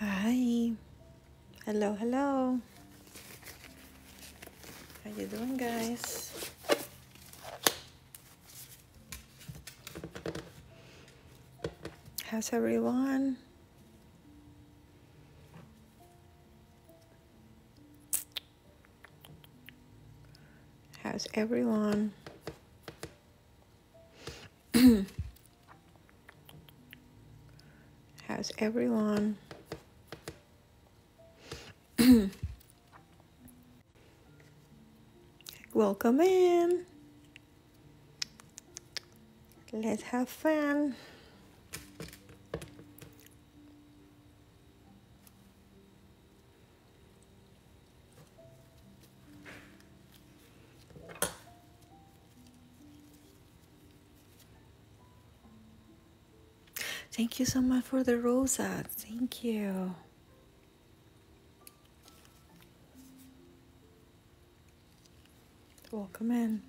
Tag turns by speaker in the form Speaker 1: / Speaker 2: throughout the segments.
Speaker 1: Hi. Hello, hello. How you doing, guys? How's everyone? How's everyone? How's everyone? Welcome in. Let's have fun. Thank you so much for the rosa. Thank you. Welcome in.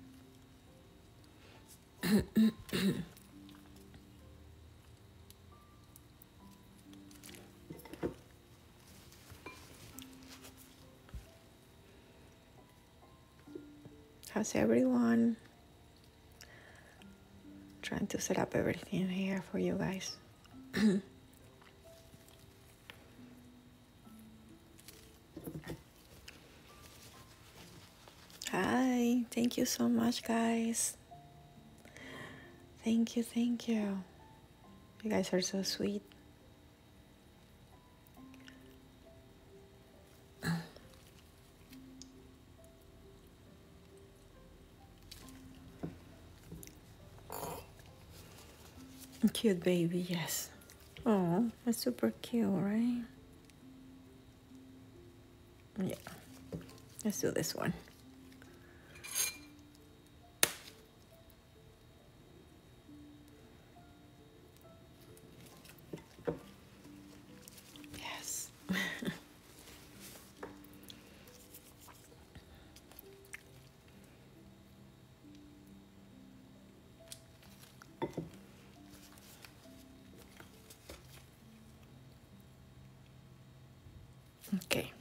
Speaker 1: How's everyone? Trying to set up everything here for you guys. Hi, thank you so much, guys. Thank you, thank you. You guys are so sweet. Cute baby, yes. Oh, that's super cute, right? Yeah. Let's do this one.
Speaker 2: Yes.
Speaker 1: Okay.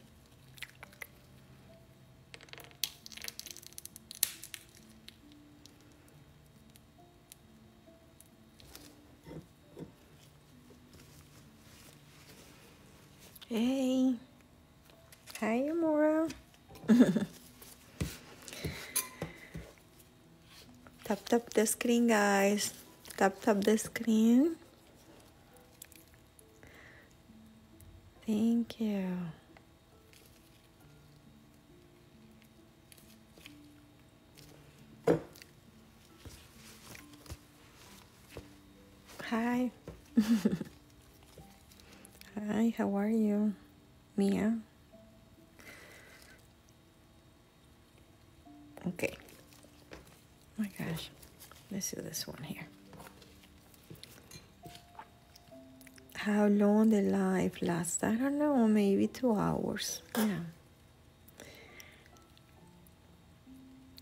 Speaker 1: Hey. Hi, Amora. tap tap the screen guys tap tap the screen thank you hi hi how are you mia Okay. my gosh. Let's do this one here. How long the life lasts? I don't know, maybe two hours. Yeah.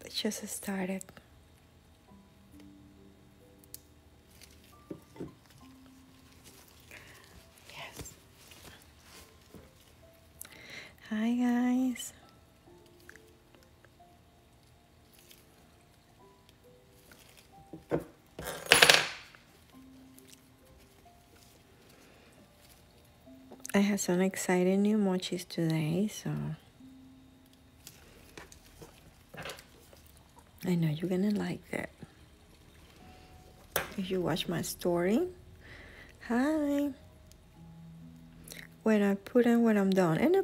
Speaker 1: It just started. Yes. Hi, guys. I have some exciting new mochis today, so I know you're gonna like that. If you watch my story, hi when I put in when I'm done in a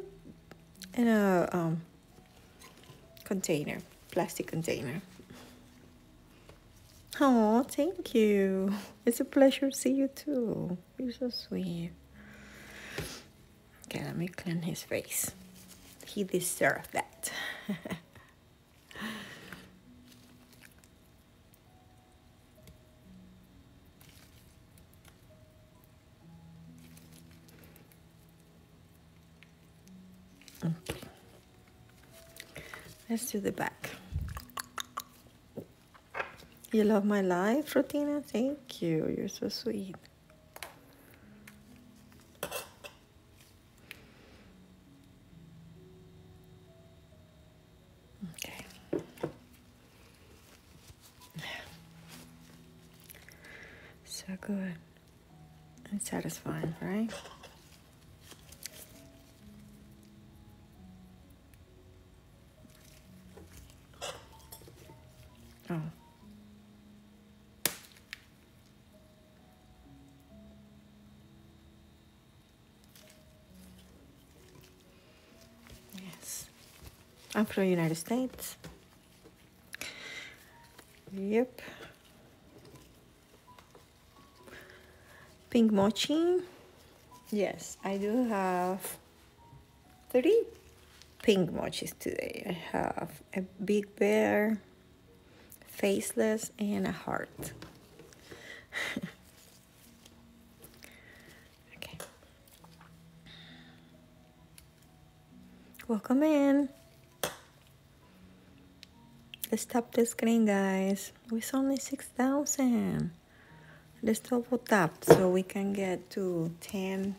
Speaker 1: in a um, container, plastic container. Oh, thank you. It's a pleasure to see you too. You're so sweet. Okay, let me clean his face. He deserved that. Okay. Let's do the back. You love my life, Rotina? Thank you. You're so sweet. Okay. So good and satisfying, right? Oh. Yes. I'm from United States. Yep. Pink mochi. Yes, I do have three pink mochis today. I have a big bear, faceless, and a heart. Okay. Welcome in. Let's tap the screen, guys. we It's only 6,000. Let's double tap so we can get to 10,000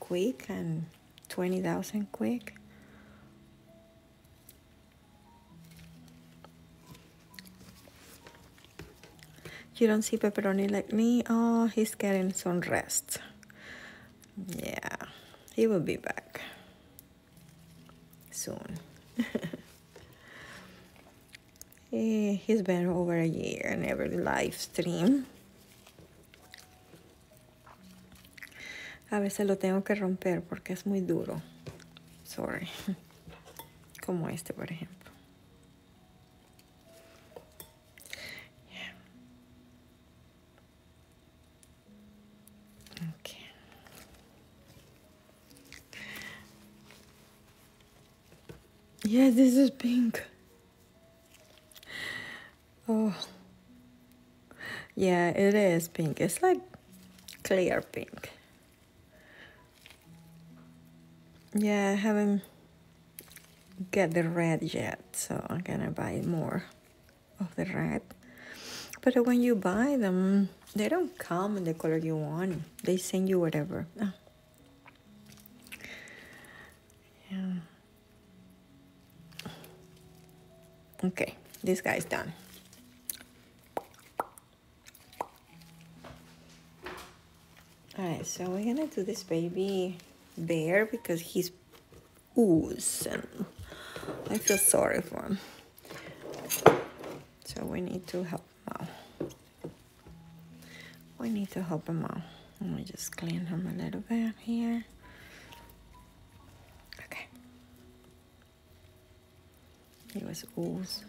Speaker 1: quick and 20,000 quick. You don't see pepperoni like me. Oh, he's getting some rest. Yeah, he will be back soon. he, he's been over a year in every live stream. A veces lo tengo que romper porque es muy duro. Sorry. como este por ejemplo yeah. okay. Yes, this is pink. Oh, yeah, it is pink. It's like clear pink. Yeah, I haven't get the red yet, so I'm gonna buy more of the red. But when you buy them, they don't come in the color you want. They send you whatever. Ah. Yeah. Okay, this guy's done. All right, so we're gonna do this baby bear because he's oozing. I feel sorry for him. So we need to help him out. We need to help him out. Let me just clean him a little bit here. Okay. It was ooz.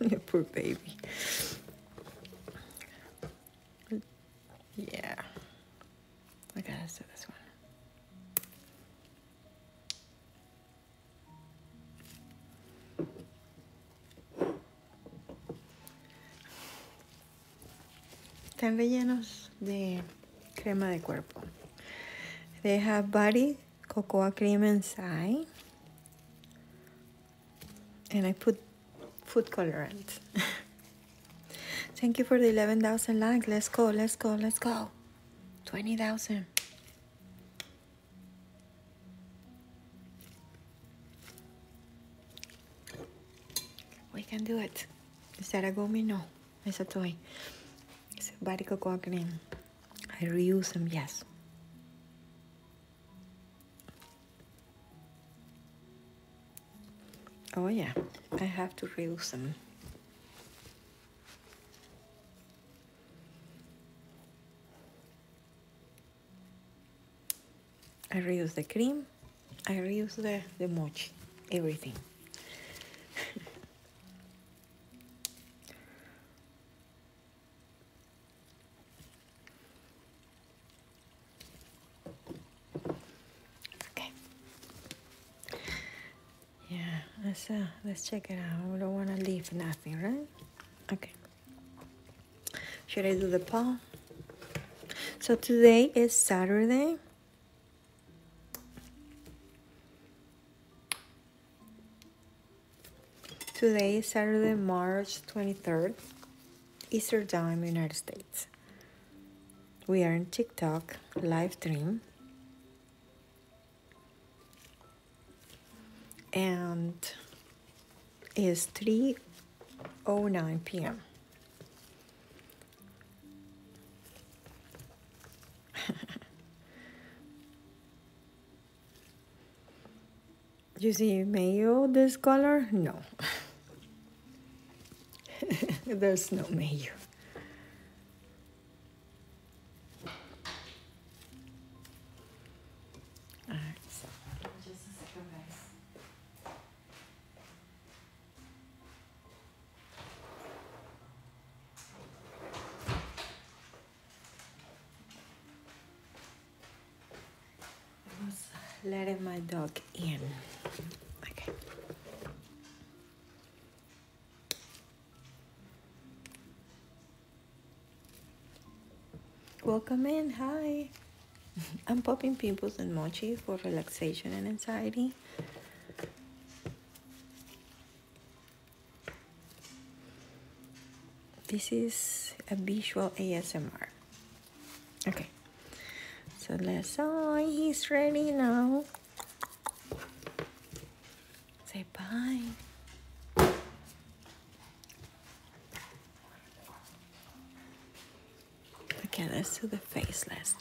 Speaker 1: Your poor baby. Yeah. I gotta do this one. Están rellenos de crema de cuerpo. They have body cocoa cream inside. And I put food colorant. Thank you for the 11,000 likes. Let's go, let's go, let's go. 20,000. We can do it. Is that a No. I said to him, I bariko koaknin. I reuse them, yes. Oh yeah, I have to reuse them. I reuse the cream I reuse the, the mochi, everything. okay. Yeah, let's, uh, let's check it out. We don't want to leave nothing, right? Okay. Should I do the paw? So today is Saturday. Today, Saturday, March 23rd, Easter time, United States. We are in TikTok live stream. And it's 3.09 p.m. you see mayo this color? No. There's no mayo. I was letting my dog in. Okay. Welcome in, hi. I'm popping pimples and mochi for relaxation and anxiety. This is a visual ASMR. Okay. So let's, oh, he's ready now. Say bye. Okay, let's do the face last.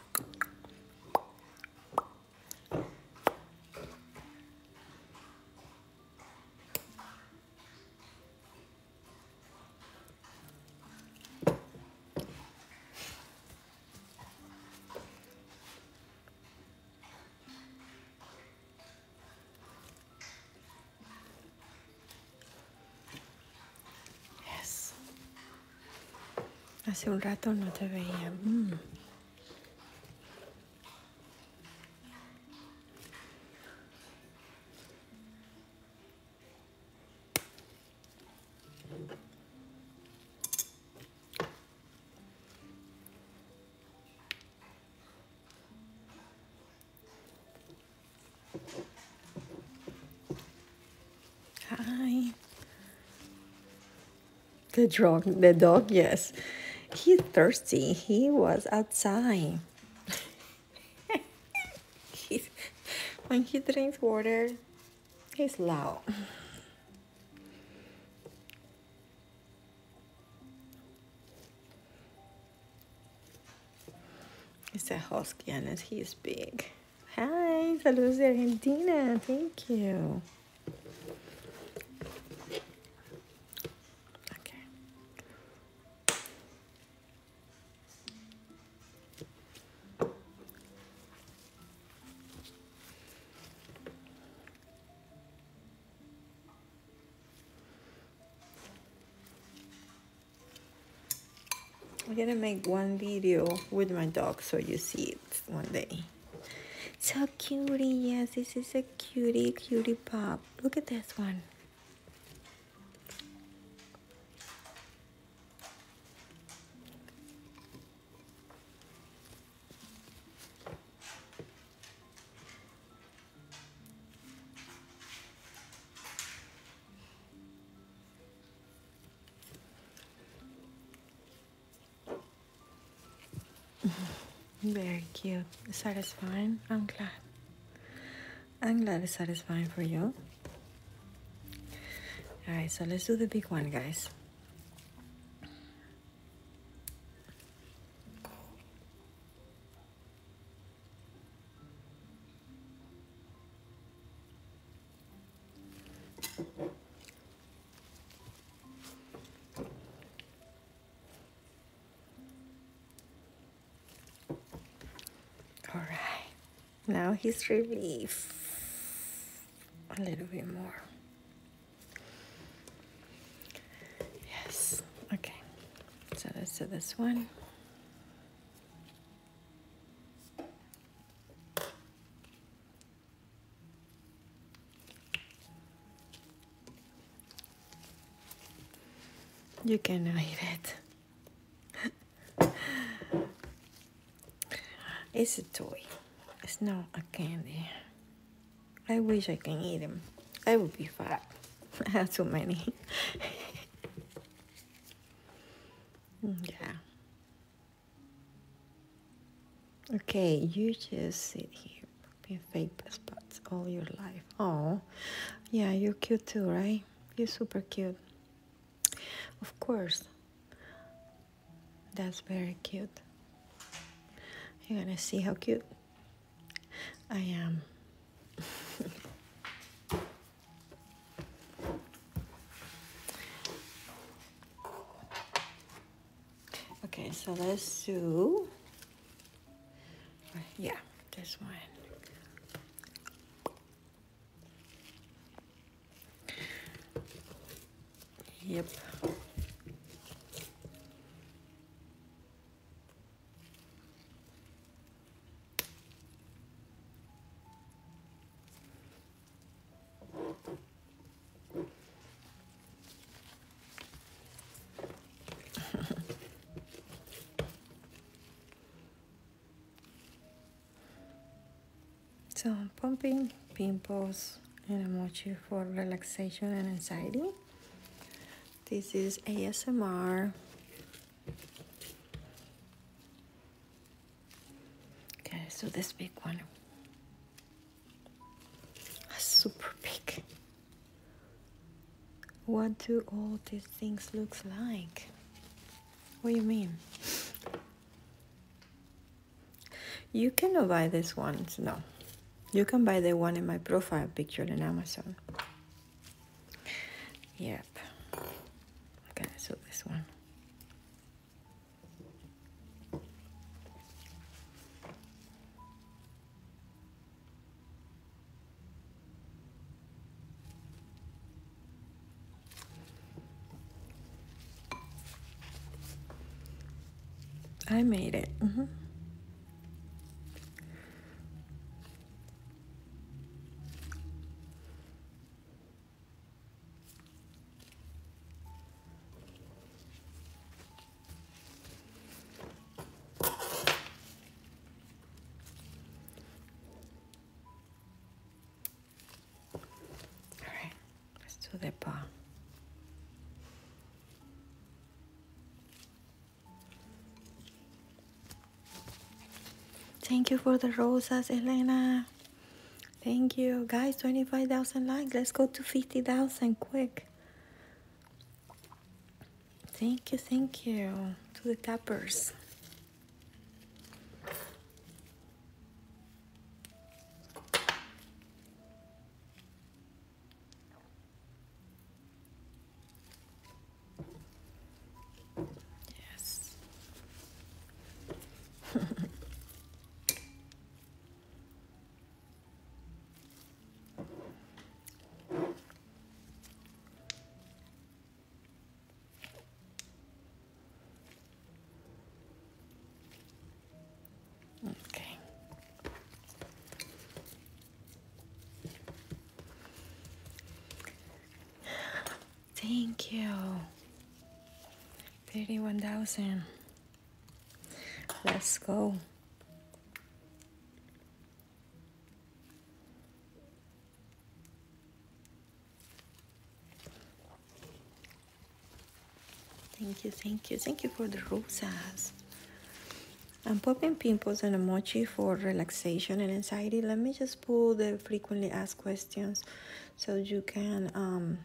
Speaker 1: Yes. Hace un rato no te veía. Mm. Hi. The dog, the dog, yes. He's thirsty. He was outside. when he drinks water, he's loud. He's a husky and he's big. Hi, saludos de Argentina. Thank you. Okay. I'm gonna make one video with my dog so you see it one day. So cutie, yes, this is a cutie, cutie pup. Look at this one. Very cute. Satisfying. I'm glad. I'm glad it's satisfying for you. Alright, so let's do the big one, guys. All right, now he's relieved. A little bit more. Yes, okay. So let's do this one. You can eat it. it's a toy. It's not a candy. I wish I can eat them. I would be fat. I have too many. yeah. Okay, you just sit here popping fake spots all your life. Oh, yeah, you're cute too, right? You're super cute. Of course. That's very cute. You're gonna see how cute I am. Okay, so let's do, yeah, this one. Yep. so pumping pimples and emoji for relaxation and anxiety this is ASMR Okay, so this big one. Super big. What do all these things looks like? What do you mean? You cannot buy this one, no. You can buy the one in my profile picture in Amazon. Yep. Okay, so this one. I made it. Mm -hmm right, let's do the paw. Thank you for the roses, Elena. Thank you. Guys, 25,000 likes. Let's go to 50,000 quick. Thank you, thank you to the tappers. Yes. Okay. Thank you. Thirty-one thousand. Let's go. Thank you, thank you, thank you for the rosas. I'm popping pimples and emoji for relaxation and anxiety. Let me just pull the frequently asked questions so you can um,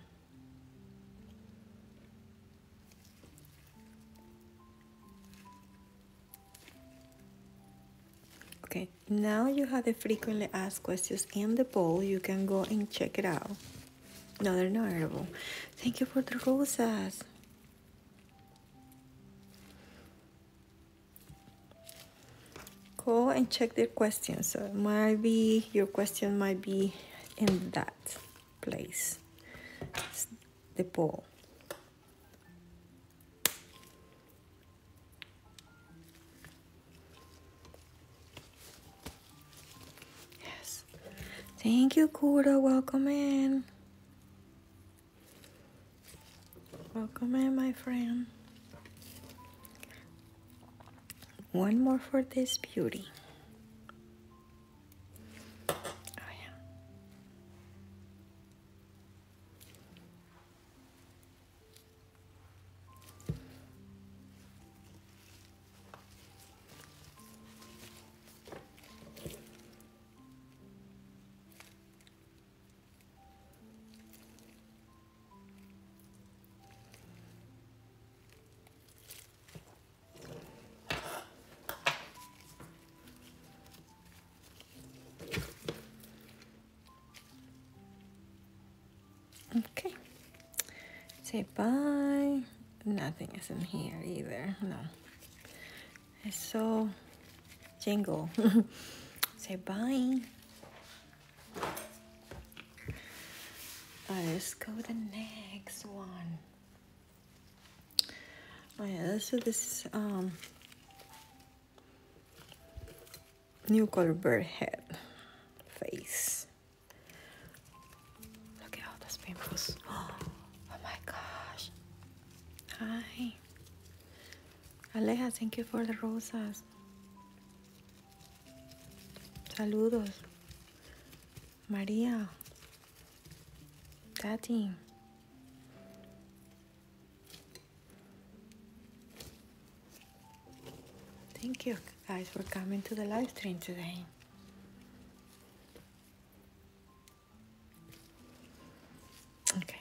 Speaker 1: Okay, now you have the frequently asked questions in the poll. You can go and check it out. No, they're not edible. Thank you for the roses. Go and check the questions. So uh, it might be your question might be in that place it's the ball yes thank you Kuda welcome in welcome in my friend one more for this beauty. Oh, yeah. Okay. Say bye. Nothing is in here either. No. It's so jingle. Say bye let's go the next one. Oh yeah, so this um new color bird head face. Look at all those pimples. Oh, my gosh. Hi. Aleja, thank you for the roses. Saludos. María. Tati. Thank you guys for coming to the live stream today.
Speaker 2: Okay.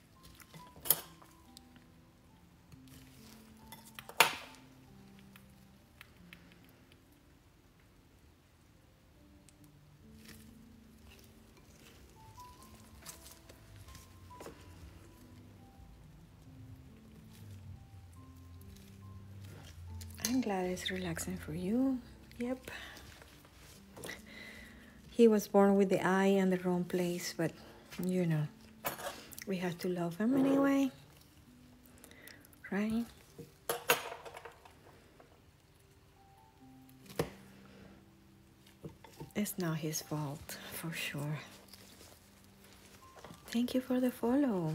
Speaker 1: I'm glad it's relaxing for you. Yep. He was born with the eye in the wrong place, but you know, we have to love him anyway, right? It's not his fault, for sure. Thank you for the follow.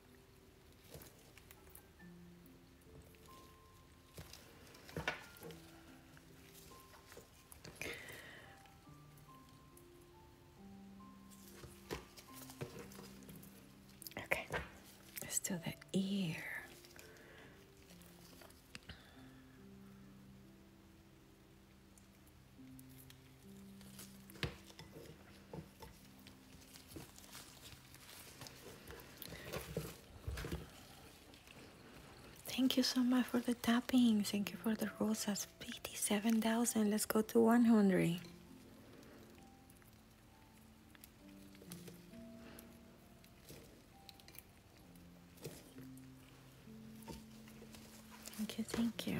Speaker 1: Okay, let's do the ear. Thank you so much for the tapping. Thank you for the rosas. 57,000. Let's go to 100. Thank you. Thank you.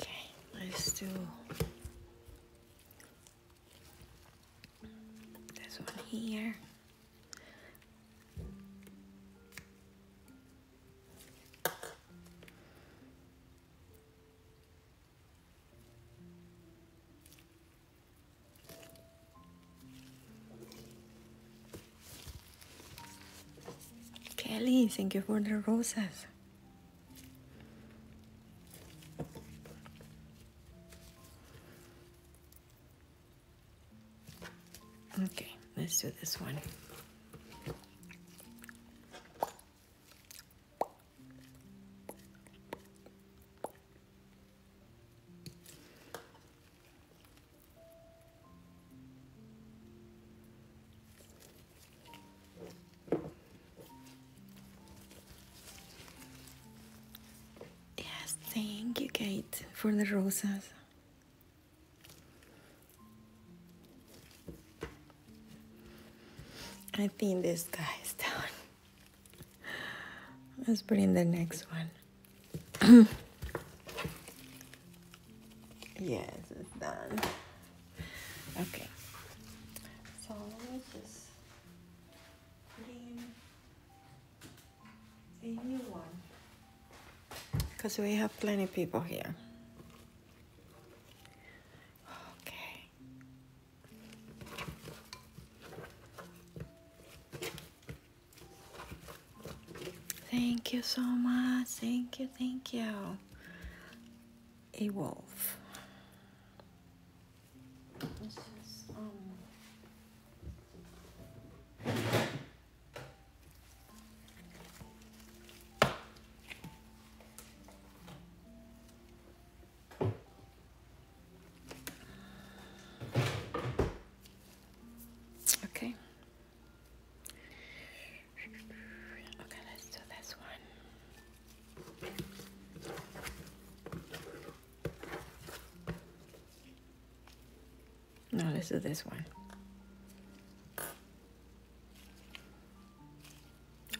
Speaker 1: Okay, let's do this one here. Kelly, thank you for the roses. Okay, let's do this one. Yes, thank you, Kate, for the roses. I think this guy is done. Let's bring the next one. yes, it's done. Okay. So let's just put in a new one. Because we have plenty of people here. Thank you so much. Thank you. Thank you a wolf. Okay. Okay, let's do this one. No, this is this one.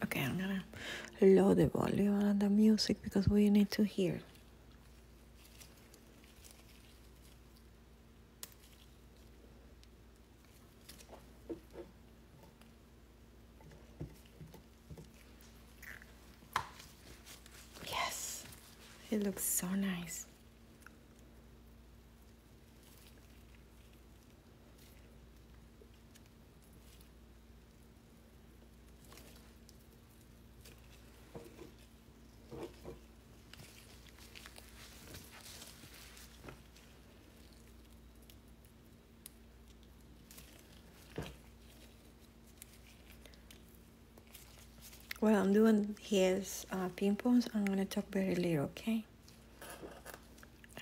Speaker 1: Okay, I'm gonna load the volume on the music because we need to hear. Yes, it looks so nice. Well, I'm doing his uh, pimples, I'm gonna talk very little, okay?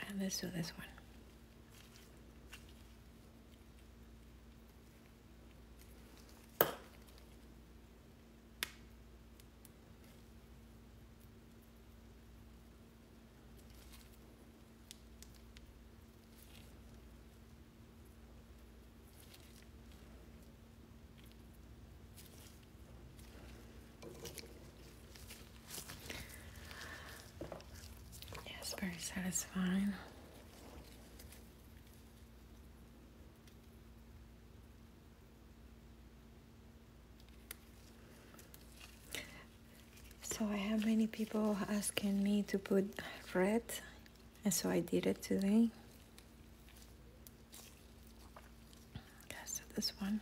Speaker 1: And let's do this one.
Speaker 2: Yes, very satisfying.
Speaker 1: So I have many people asking me to put red, and so I did it today. Okay, this one.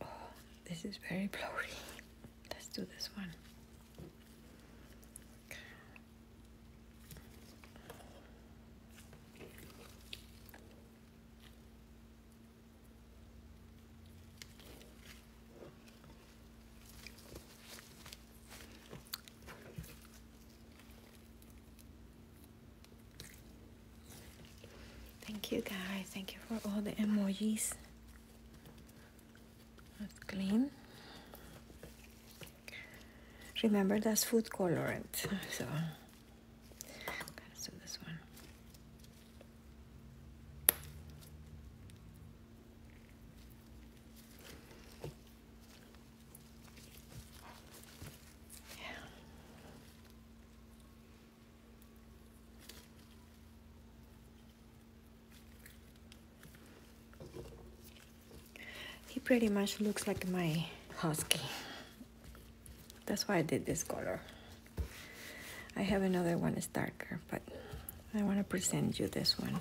Speaker 1: Oh, this is very blurry. Let's do this one. Thank you guys, thank you for all the emojis. That's clean. Remember that's food colorant, so Okay, so this one. Yeah. He pretty much looks like my husky that's why I did this color I have another one It's darker but I want to present you this one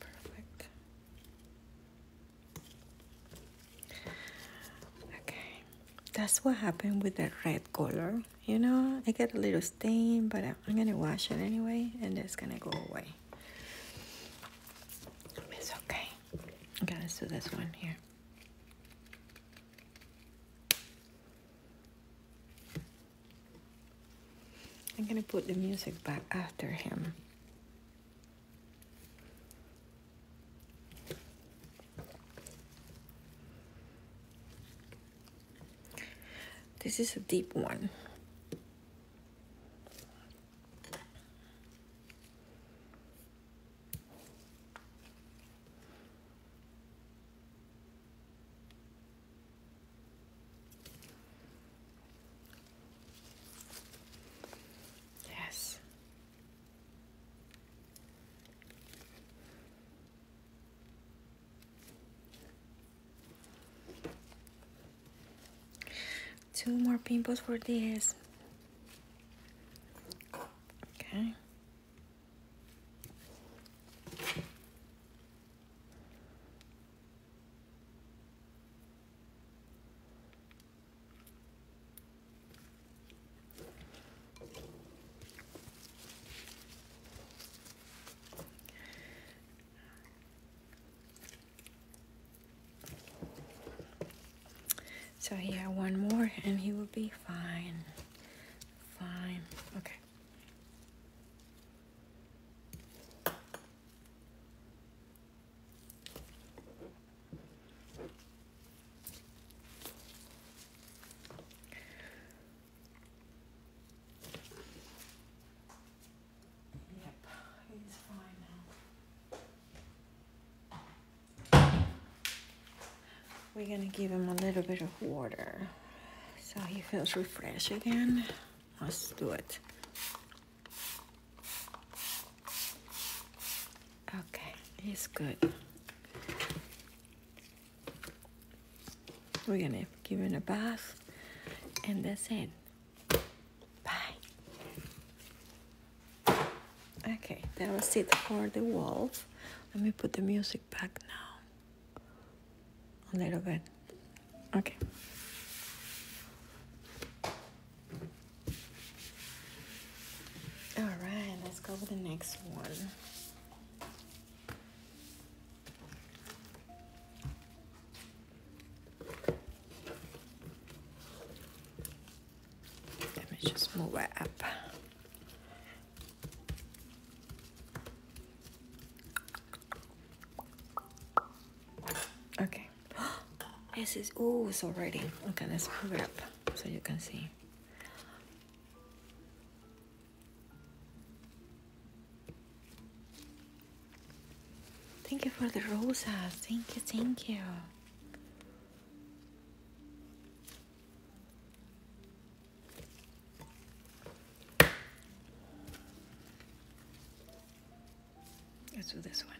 Speaker 1: Perfect. Okay, that's what happened with the red color. You know, I get a little stain, but I'm gonna wash it anyway, and it's gonna go away. It's okay. I'm gonna do this one here. I'm gonna put the music back after him. This is a deep one. Yes. Two more pimples for this. Okay. So he had one more and he would be fine. Fine. Okay we're gonna give him a little bit of water so he feels refreshed again let's do it Okay, it's good. We're gonna give it a bath, and that's it. Bye. Okay, that was it for the wolf. Let me put the music back now. A little bit. Okay. All right, let's go with the next one. Let me just move it up. Okay this is oh it's already okay let's move it up so you can see Thank you for the roses. Thank you, thank you. Let's do this one.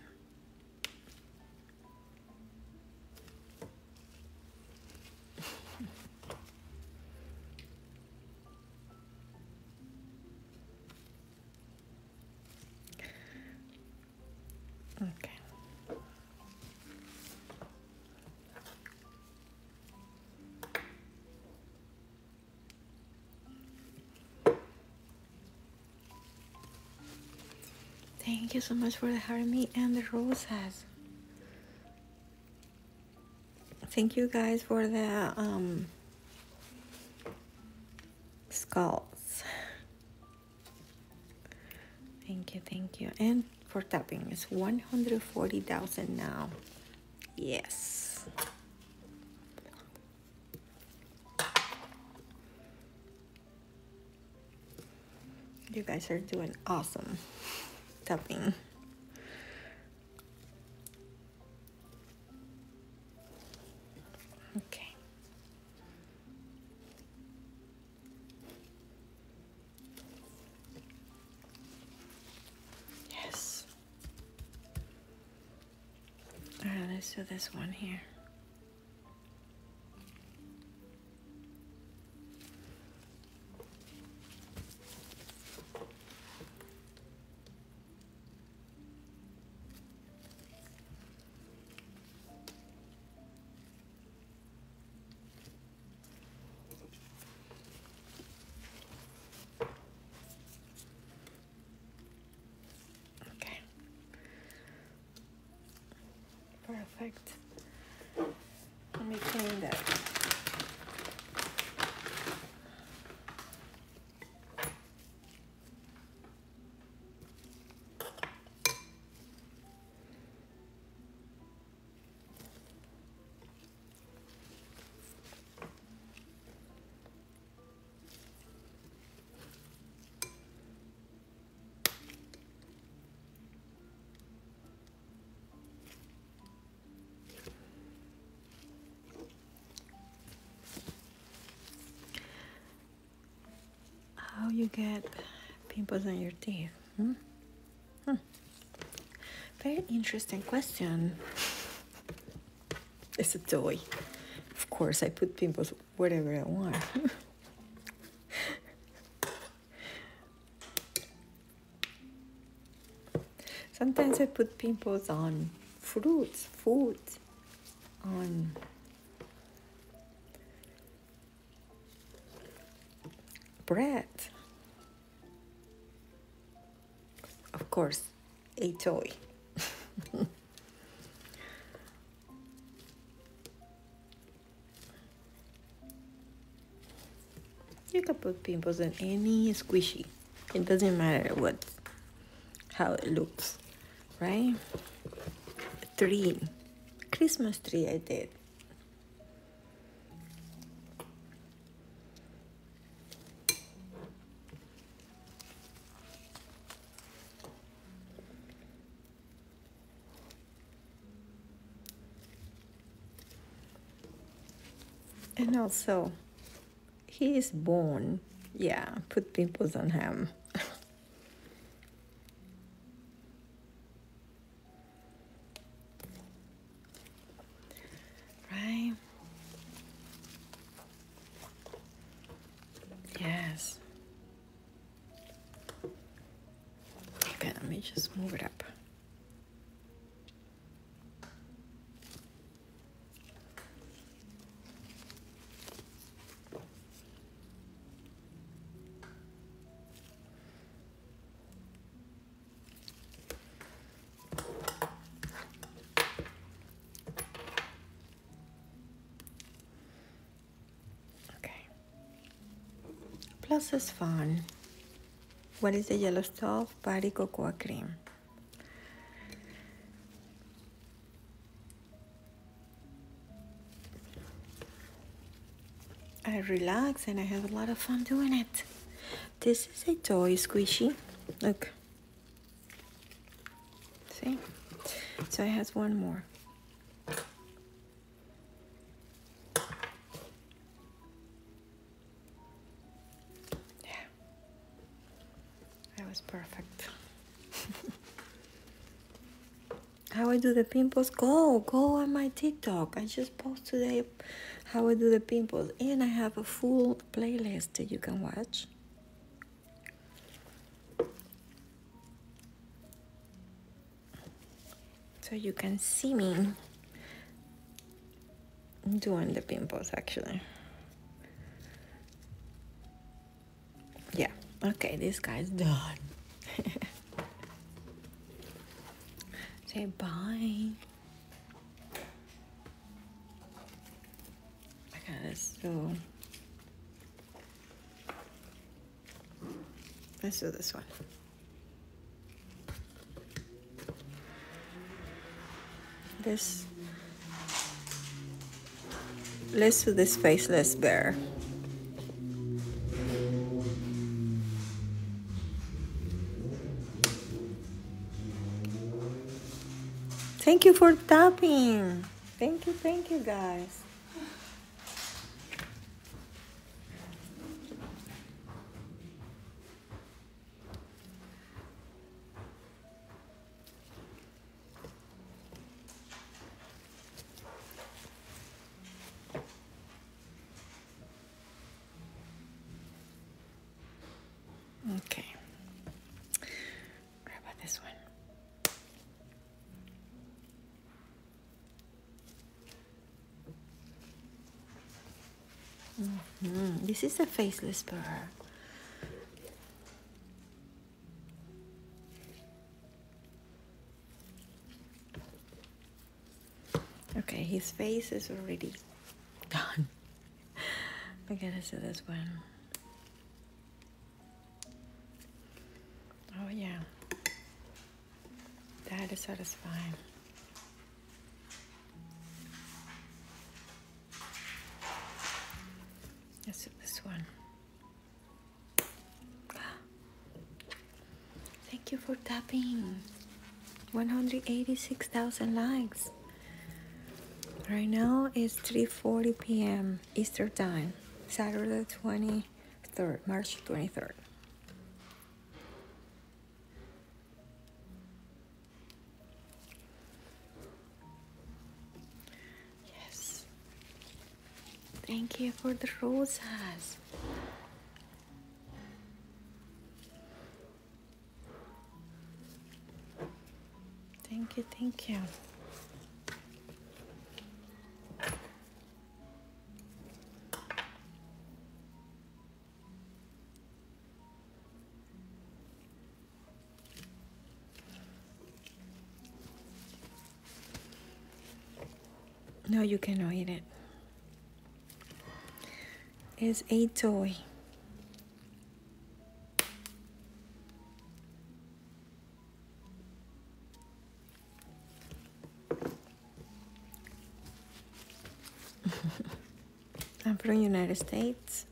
Speaker 1: okay. Thank you so much for having me and the roses. Thank you guys for the um, skulls. Thank you, thank you. And for tapping, it's 140,000 now. Yes. You guys are doing awesome dubbing. Okay. Yes. Alright, let's do this one here. Okay. Perfect. Let me clean that. How you get pimples on your teeth? Hmm? hmm? Very interesting question. It's a toy. Of course, I put pimples whatever I want. Sometimes I put pimples on fruits, food, on bread. Of course, a toy. You can put pimples on any squishy. It doesn't matter what, how it looks, right? Three, Christmas tree I did. And also, he is born. Yeah, put pimples on him. right? Yes. Okay, let me just move it up. Plus it's fun. What is the yellow stuff? Body cocoa cream. I relax and I have a lot of fun doing it. This is a toy squishy. Look. See? So I have one more. Yeah, that was perfect. how I do the pimples? Go, go on my TikTok. I just post today how I do the pimples, and I have a full playlist that you can watch so you can see me doing the pimples actually yeah okay this guy's done say bye okay go. Let's do this one. This. Let's do this faceless bear. Thank you for tapping. Thank you, thank you guys.
Speaker 2: Okay. How about this one?
Speaker 1: -hmm. This is a faceless bird. Okay, his face is already gone. I gotta see this one. Oh, yeah. That is satisfying. Let's do this one. Thank you for tapping. 186,000 likes. Right now it's 3:40 p.m. Eastern Time, Saturday 20 Third March 23rd. Yes. Thank you for the roses. Thank you, thank you. No, you cannot eat it. It's a toy. I'm from United States.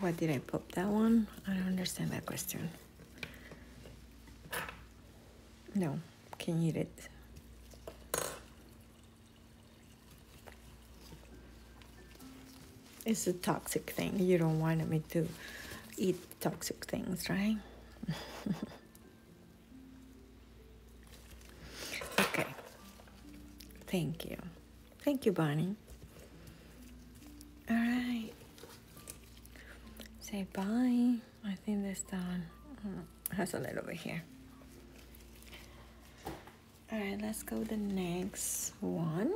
Speaker 1: What did I pop that one? I don't understand that question. No, can eat it. It's a toxic thing. You don't want me to eat toxic things, right? okay. Thank you. Thank you, Bonnie. All right. Say bye. I think this done. Mm, has a little over here. All right, let's go the next one.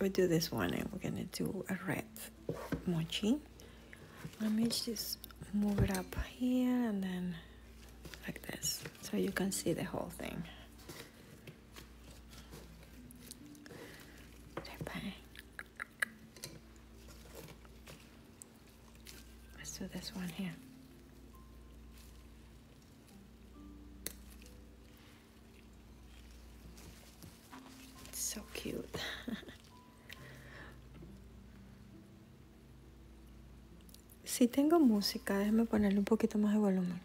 Speaker 1: We do this one and we're gonna do a red mochi. Let me just move it up here and then like this so you can see the whole thing. so cute. si tengo música, déjame ponerle un poquito más de volumen.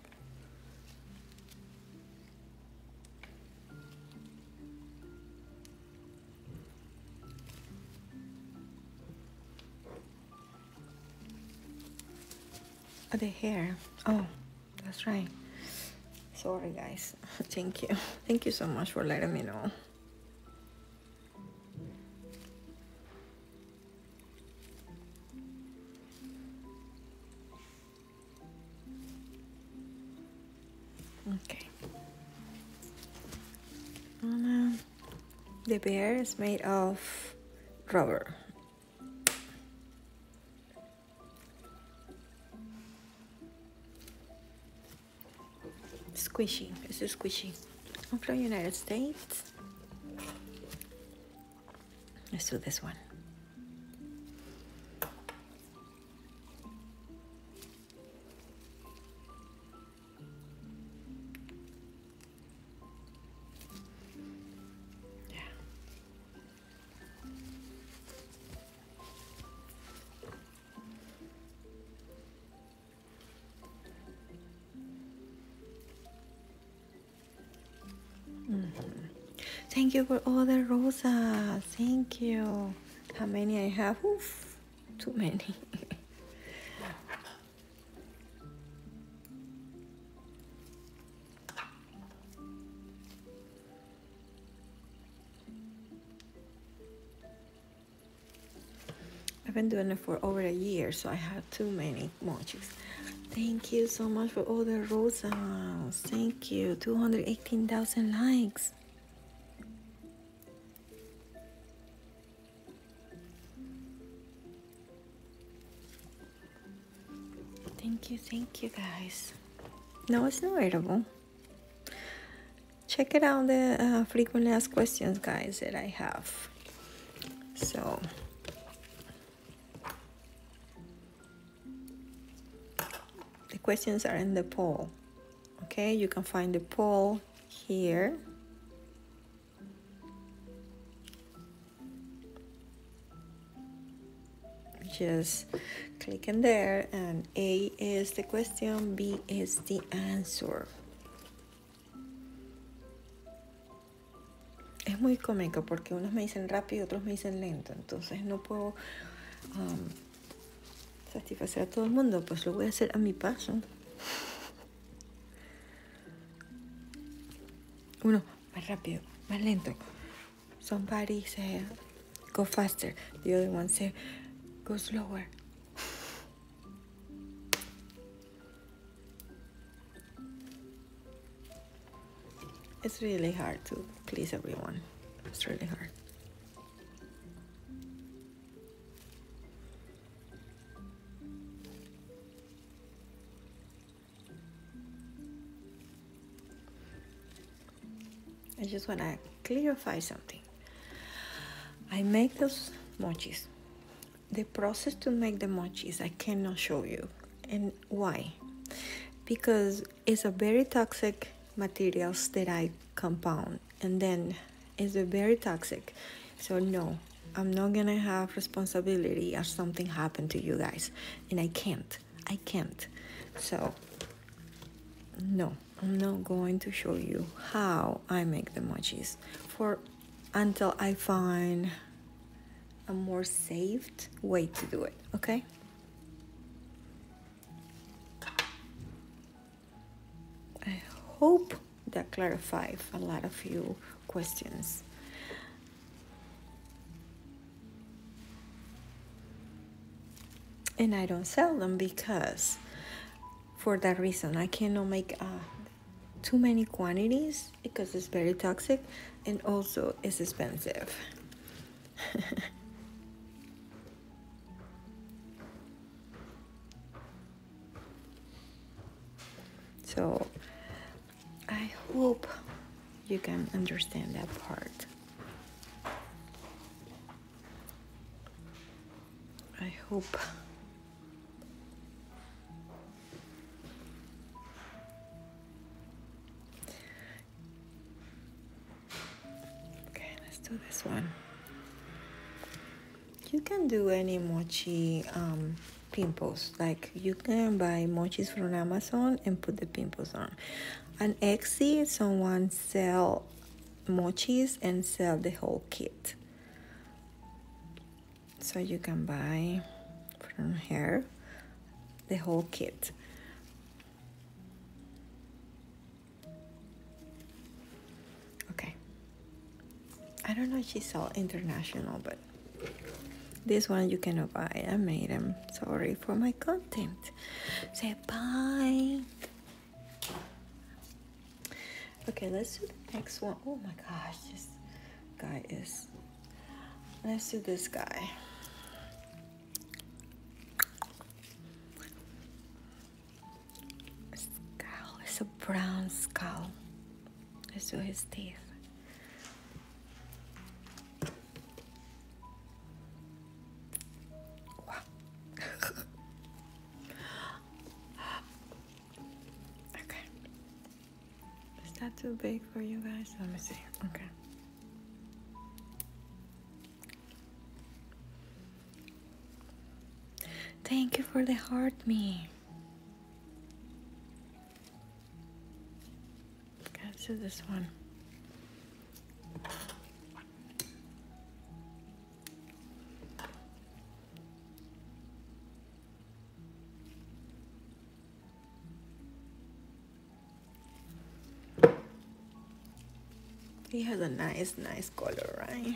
Speaker 1: Oh, the hair. Oh, that's right. Sorry, guys. Thank you. Thank you so much for letting me know. Okay. Um, the bear is made of rubber. Squishy. This is squishy. I'm from United States. Let's do this one. Yeah. -hmm. Thank you for all the roses. Thank you. How many I have? Too many. I've been doing it for over a year, so I have too many mochis. Thank you so much for all the rosas. Thank you. 218,000 likes. Thank you, thank you guys. No, it's not readable. Check it out the uh, frequently asked questions, guys, that I have. So, the questions are in the poll. Okay, you can find the poll here. Just click in there and A is the question, B is the answer. Es muy cómico porque unos me dicen rápido otros me dicen lento, entonces no puedo um, satisfacer a todo el mundo, pues lo voy a hacer a mi paso. Uno, más rápido, más lento. Somebody eh, say, go faster. The other one said, go slower. It's really hard to please everyone. It's really hard. I just want to clarify something. I make those mochis. The process to make the mochis, I cannot show you. And why? Because it's a very toxic materials that I compound and then it's very toxic so no i'm not gonna have responsibility if something happened to you guys and i can't i can't so no i'm not going to show you how i make the mochis for until i find a more safe way to do it okay I hope that clarified a lot of your questions. And I don't sell them because for that reason I cannot make uh, too many quantities because it's very toxic and also it's expensive. So I hope you can understand that part. I hope. Okay, let's do this one you can do any mochi um, pimples like you can buy mochis from amazon and put the pimples on And etsy someone sell mochis and sell the whole kit so you can buy from here the whole kit Okay. I don't know if she all international, but this one you cannot buy. I made them. Sorry for my content. Say bye. Okay, let's do the next one. Oh my gosh, this guy is. Let's do this guy skull is a brown skull. I saw his teeth.
Speaker 2: Wow.
Speaker 1: okay. Is that too big for you guys? Let me see. Okay. Thank you for the heart, me. Let's do this one. He has a nice nice color, right?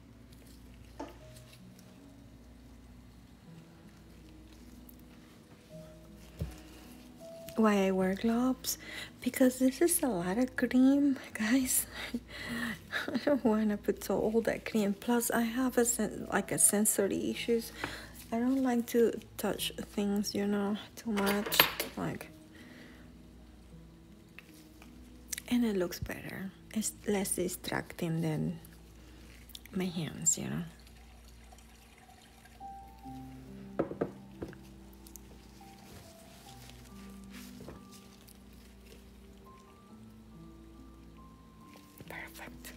Speaker 1: why I wear gloves because this is a lot of cream guys I don't want to put so all that cream plus I have a like a sensory issues I don't like to touch things you know too much like and it looks better it's less distracting than my hands you know perfect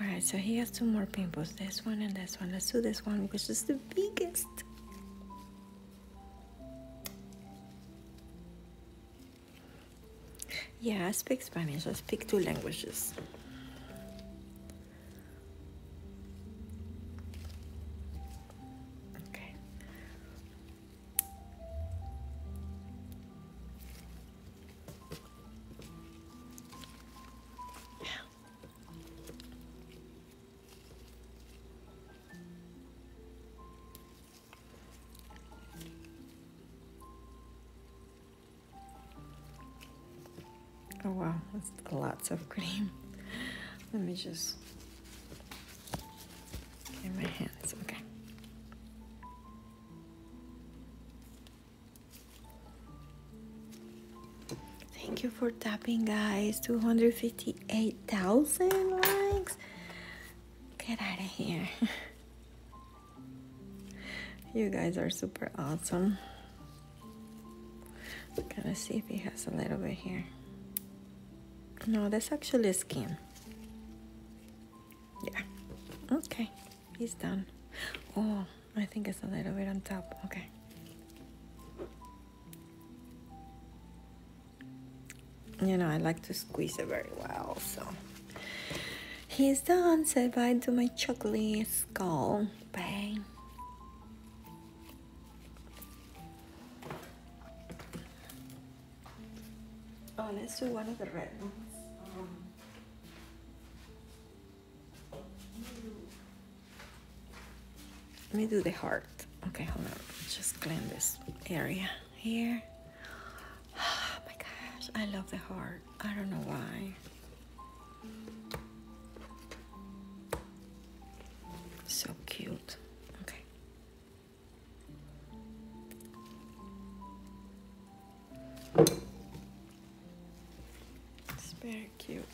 Speaker 1: all right so he has two more pimples this one and this one let's do this one which is the biggest yeah, I speak Spanish. I speak two languages. Okay. Yeah. Oh wow, that's lots of cream. Let me just get my hands. Okay. Thank you for tapping, guys. 258,000 likes. Get out of here. you guys are super awesome. gonna see if he has a little bit here. No, that's actually skin. Yeah. Okay. He's done. Oh, I think it's a little bit on top. Okay you know, I like to squeeze it very well. So he's done. Said bye to my chocolate skull. Bang. Oh, let's do one of the red ones. Let me do the heart. Okay, hold on. Just clean this area here. Oh my gosh, I love the heart. I don't know why. So cute. Okay. It's very cute.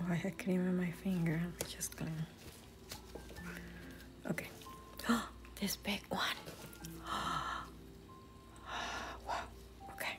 Speaker 1: Oh, I had cream on my finger. I'm just gonna. Okay. Oh, this big one. wow. Okay.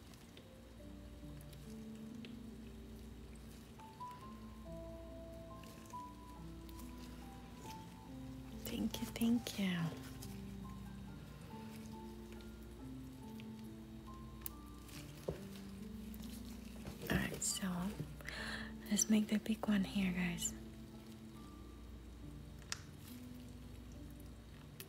Speaker 1: Thank you, thank you. Alright, so let's make the big one here, guys.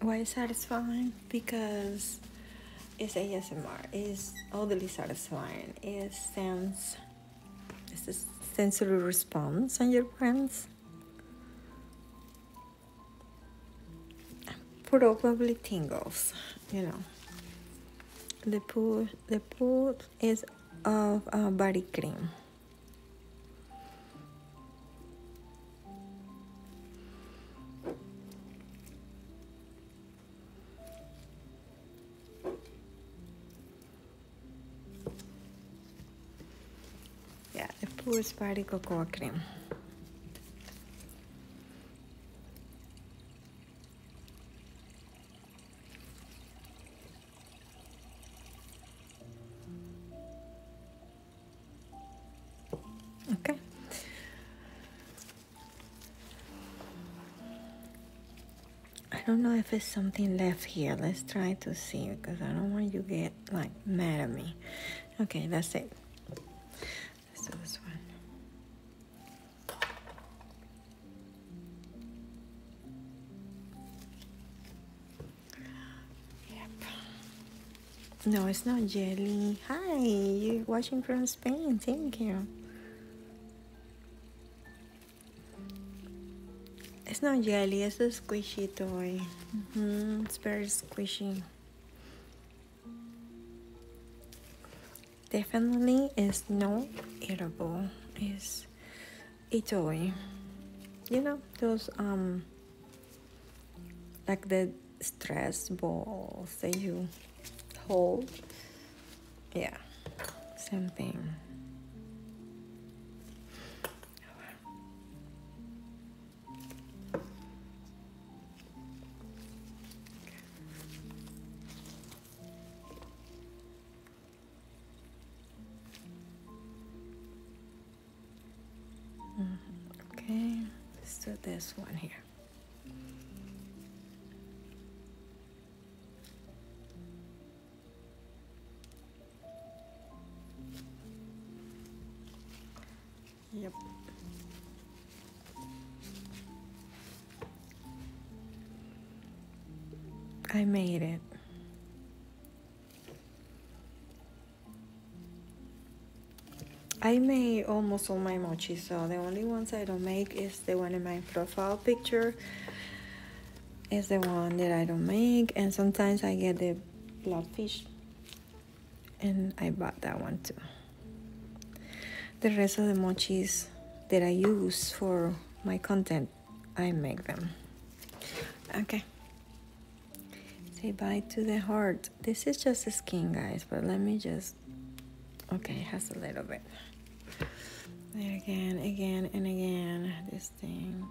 Speaker 1: Why satisfying? Because it's ASMR. It's oddly satisfying. It sounds. It's a sensory response on your brains. Probably tingles, you know. The pool, the pool is of a body cream. Yeah, I pour spaghetti cocoa cream. Okay. I don't know if it's something left here. Let's try to see because I don't want you to get like mad at me. Okay, that's it. Let's one. No, it's not jelly. Hi, you're watching from Spain. Thank you. It's not jelly, it's a squishy toy. -hmm. It's very squishy. Definitely is not edible. It's Italy. You know, those, um, like the stress balls that you hold. Yeah, same thing. Mm-hmm. Okay, let's do this one here. Yep. I made it. I make almost all my mochi, so the only ones I don't make is the one in my profile picture. Is the one that I don't make, and sometimes I get the bloodfish, and I bought that one too. The rest of the mochis that I use for my content I make them. Okay. Say bye to the heart. This is just a skin, guys, but let me just... Okay, it has a little bit. again, again, and again, this thing.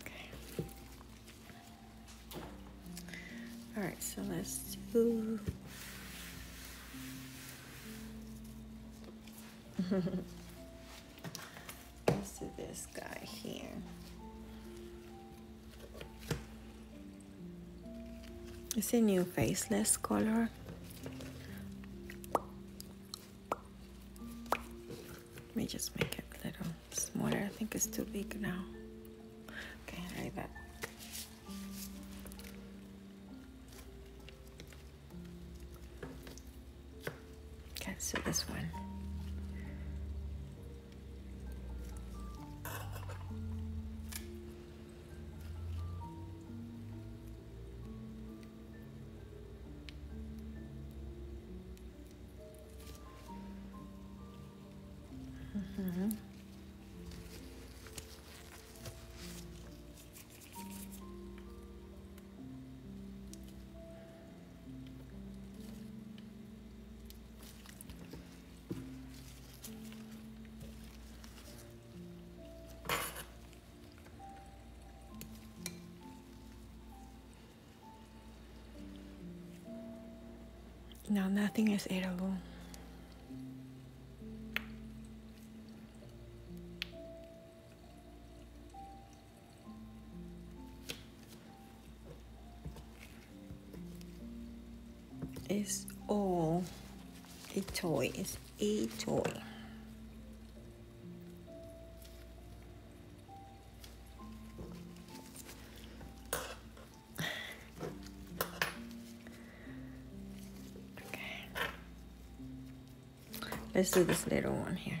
Speaker 1: Okay. All right, so let's do... Let's do this guy here. It's a new faceless color. Let me just make it a little smaller. I think it's too big now. Okay, like that. Okay. So this one. Mm-hmm. Now nothing is edible. It's all a toy. It's a toy. Okay. Let's do this little one here.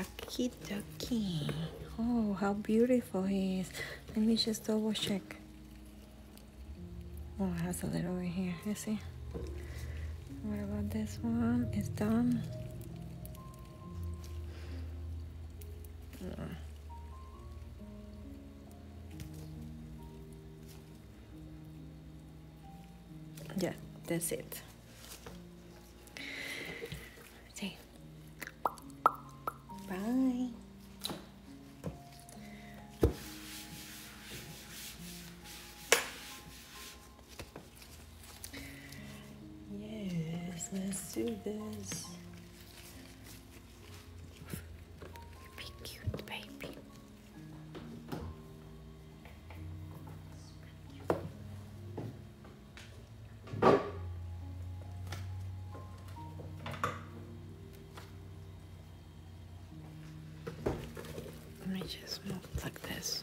Speaker 1: Okie dokie. Oh, how beautiful he is. Let me just double check. Oh, it has a little over here. You see? What about this one? It's done. Yeah, that's it. See? Bye. Yes, let's do this. Be cute, baby. Let me just move like this.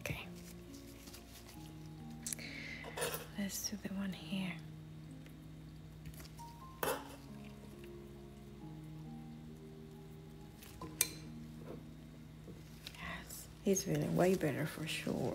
Speaker 1: Okay. Let's do the one here. Yes, he's feeling way better for sure.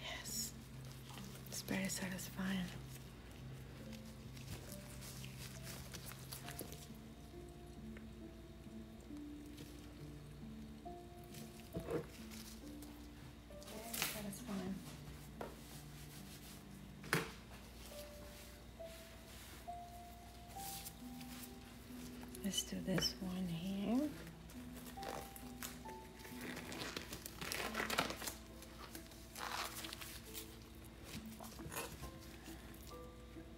Speaker 1: Yes, it's very satisfying. Let's do this one here.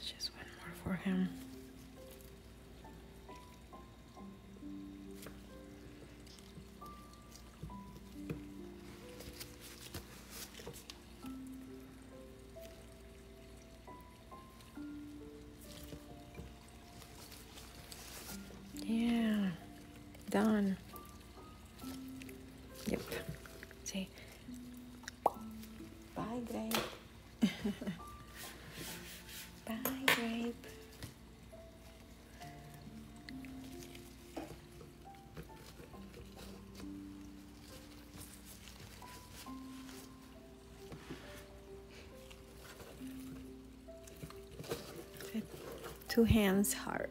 Speaker 1: just one more for him. Yeah, done. Yep. See? Bye, grape. Bye, grape. Two hands hard.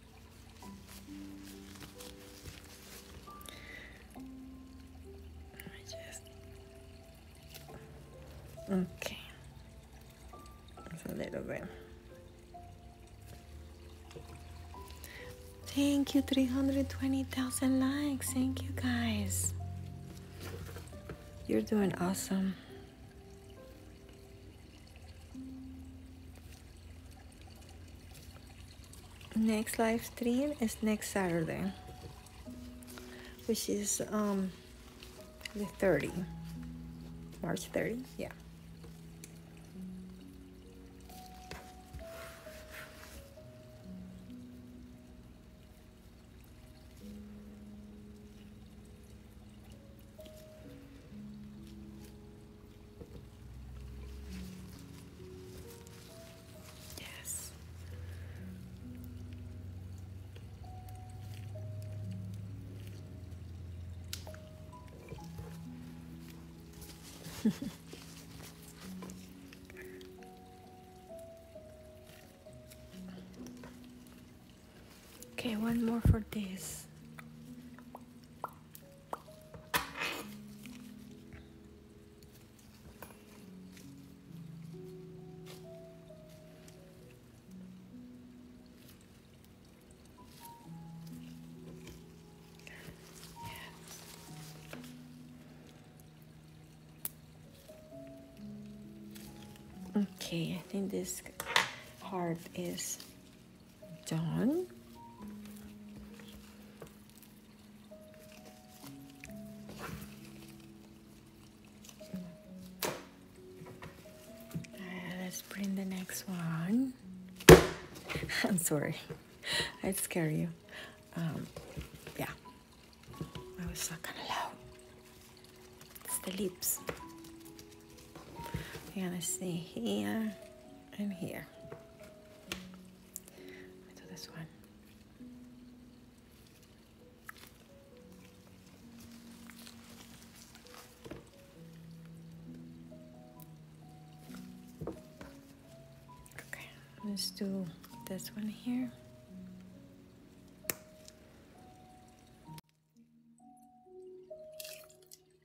Speaker 1: okay just a little bit thank you 320,000 likes thank you guys you're doing awesome next live stream is next Saturday which is um the 30 March 30 yeah Yes. okay, one more for this. Okay, I think this part is done. Uh, let's print the next one. I'm sorry, I'd scare you. Um, yeah, I was not gonna allow. It's the lips. You're gonna see here and here. I this one. Okay, let's do this one here.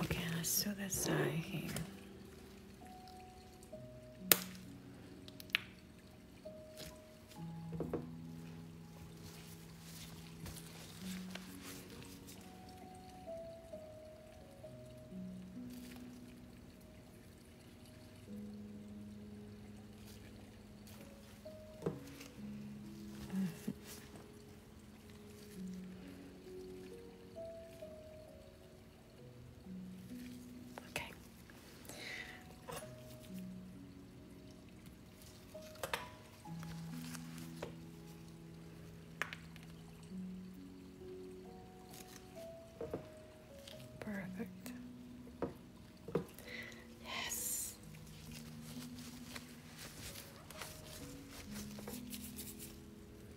Speaker 1: Okay, let's do the side here.
Speaker 2: Okay. Perfect. Yes.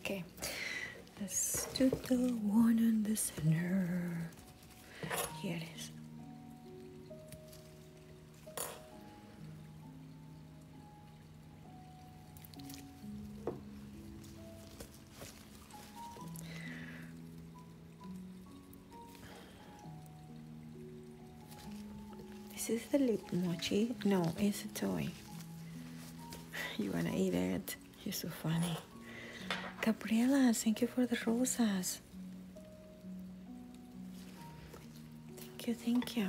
Speaker 1: Okay, let's do the one in the center. Here it is. This is the lip mochi. No, it's a toy. you wanna eat it? You're so funny. Gabriela, thank you for the rosas. Thank you, thank you.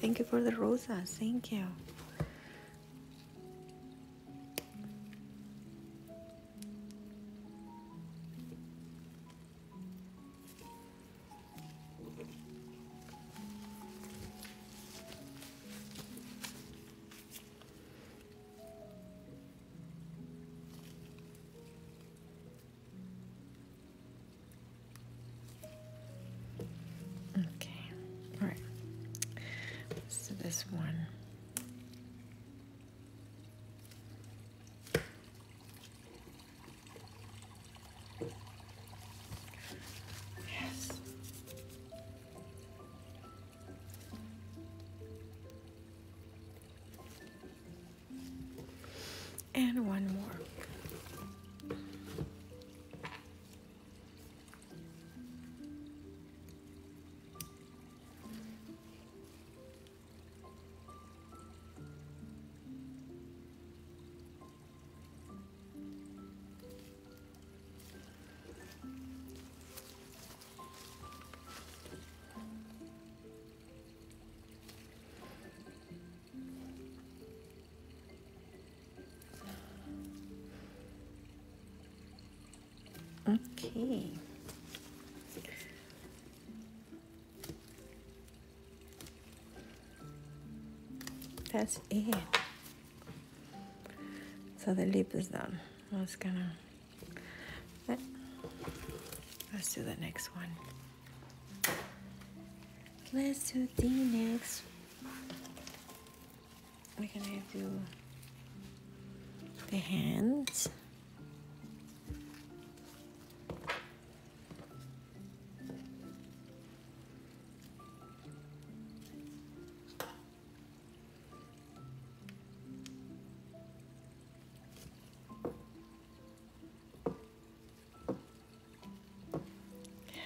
Speaker 1: Thank you for the rosas, thank you. Okay, all right. do this one. Yes. And one more.
Speaker 2: Okay.
Speaker 1: That's it. So the lip is done. I was gonna Let's do the next one. Let's do the next. We're gonna do the hands.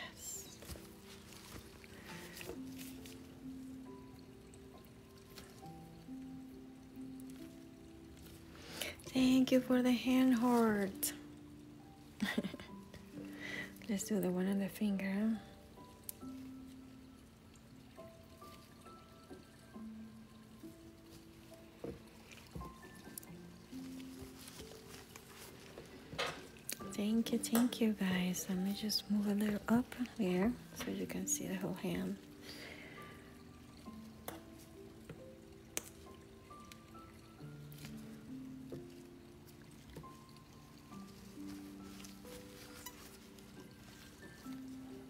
Speaker 1: Yes. Thank you for the hand heart. Let's do the one on the finger. Thank you, thank you guys. Let me just move a little up here so you can see the whole hand.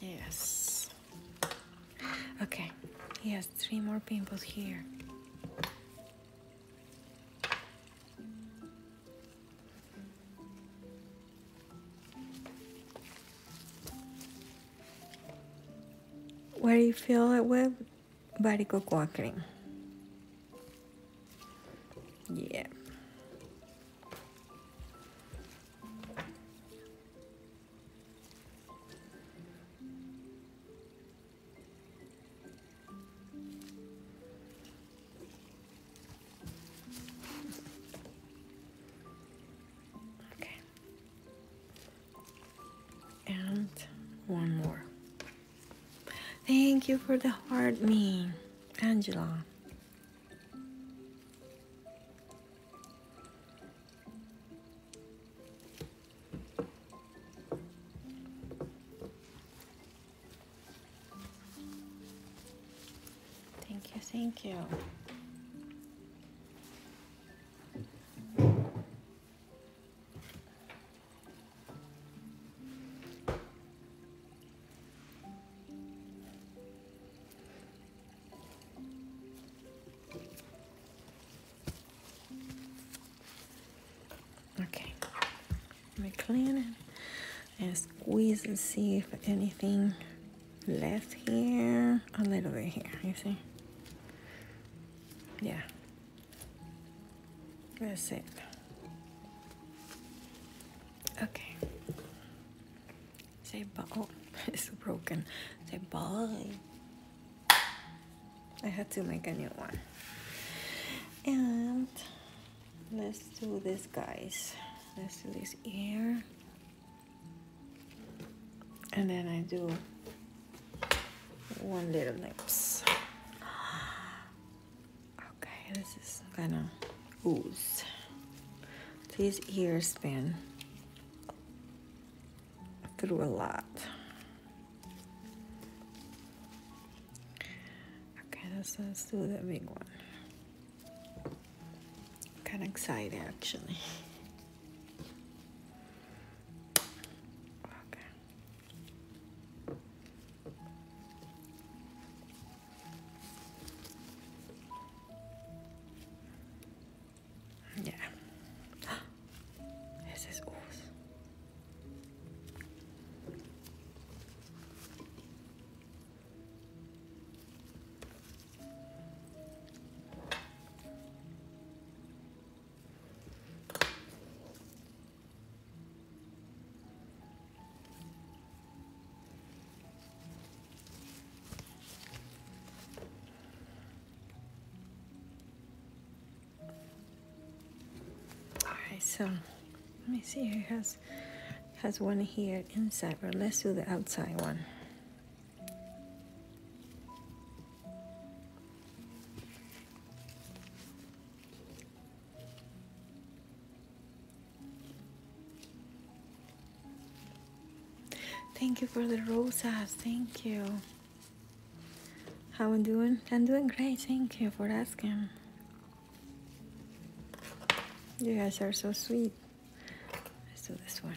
Speaker 1: Yes. Okay, he has three more pimples here. Where do you feel it with barico cream. Yeah. Okay and one more thank you for the heart me Angela Thank you, thank you. Okay, let me clean it and squeeze and see if anything Left here, a little bit here, you see? Yeah. That's it. Okay. Say bye. Oh, it's broken. Say bye. I have to make a new one. And let's do this, guys. Let's do this ear and then I do one little lips okay this is gonna ooze these ears been through a lot okay let's, let's do the big one kind of excited actually Okay. Yeah. This is awesome. Alright, so let me see. who has has one here inside, but let's do the outside one. Thank you for the rosas. Thank you. How I'm doing? I'm doing great. Thank you for asking. You guys are so sweet. Let's do this one.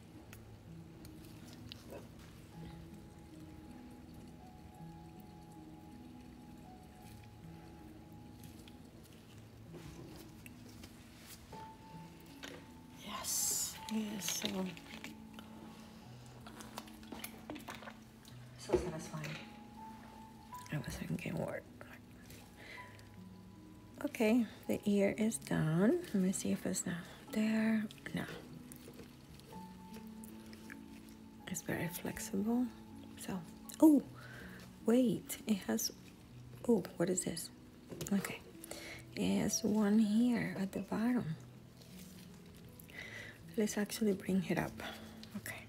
Speaker 1: Yes, yes. So, so satisfying. I was thinking work. Okay, the ear is down. Let me see if it's not there. No. It's very flexible. So, oh, wait, it has, oh, what is this? Okay, it has one here at the bottom. Let's actually bring it up. Okay.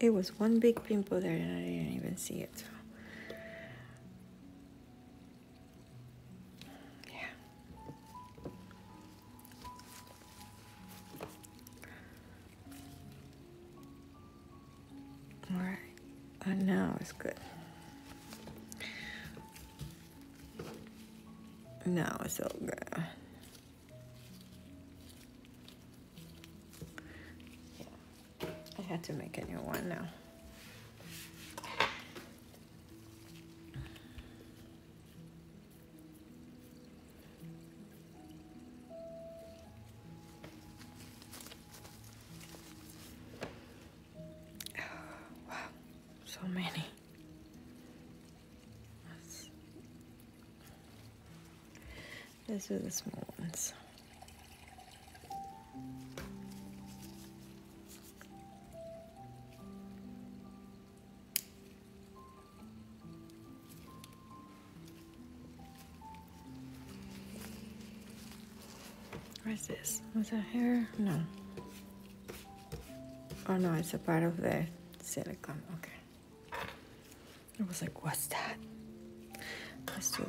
Speaker 1: It was one big pimple there and I didn't even see it. Yeah. All right. I know it's good. Now it's so good. I had to make a new one now. These are the small ones. Where is this? Was that hair? No. Oh no, it's a part of the silicone. Okay. I was like, what's that? this one.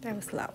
Speaker 1: That was loud.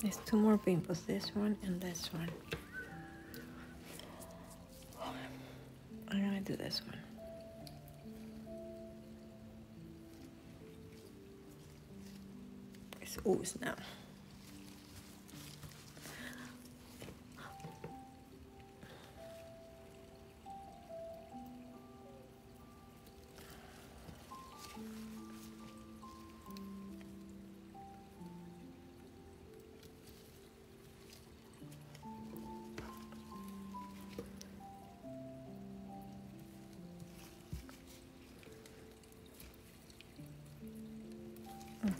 Speaker 1: there's two more pimples, this one and this one. I'm gonna do this one. It's ooze now.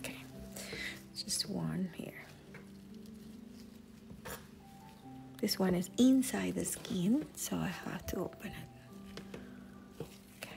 Speaker 1: Okay, just one here. This one is inside the skin, so I have to open it. Okay.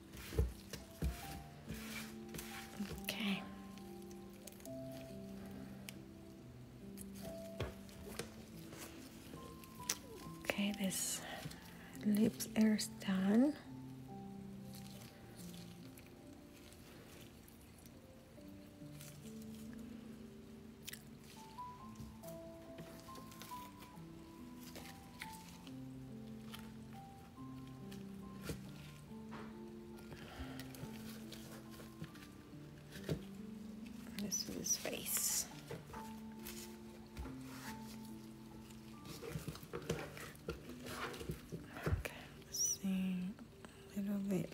Speaker 1: Okay. Okay, this lips are done. This is his face. Okay, see a little bit.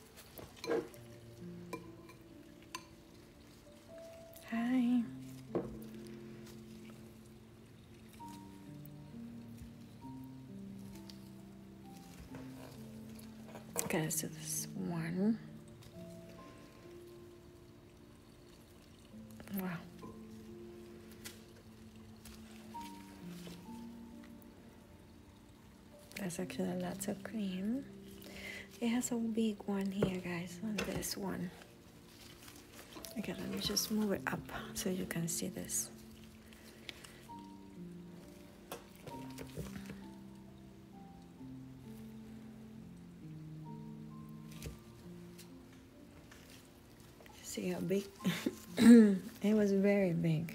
Speaker 1: Hi. Okay, so this one. Wow. There's actually a lot of cream. It has a big one here, guys, on this one. Okay, let me just move it up so you can see this. See how big? it was very big.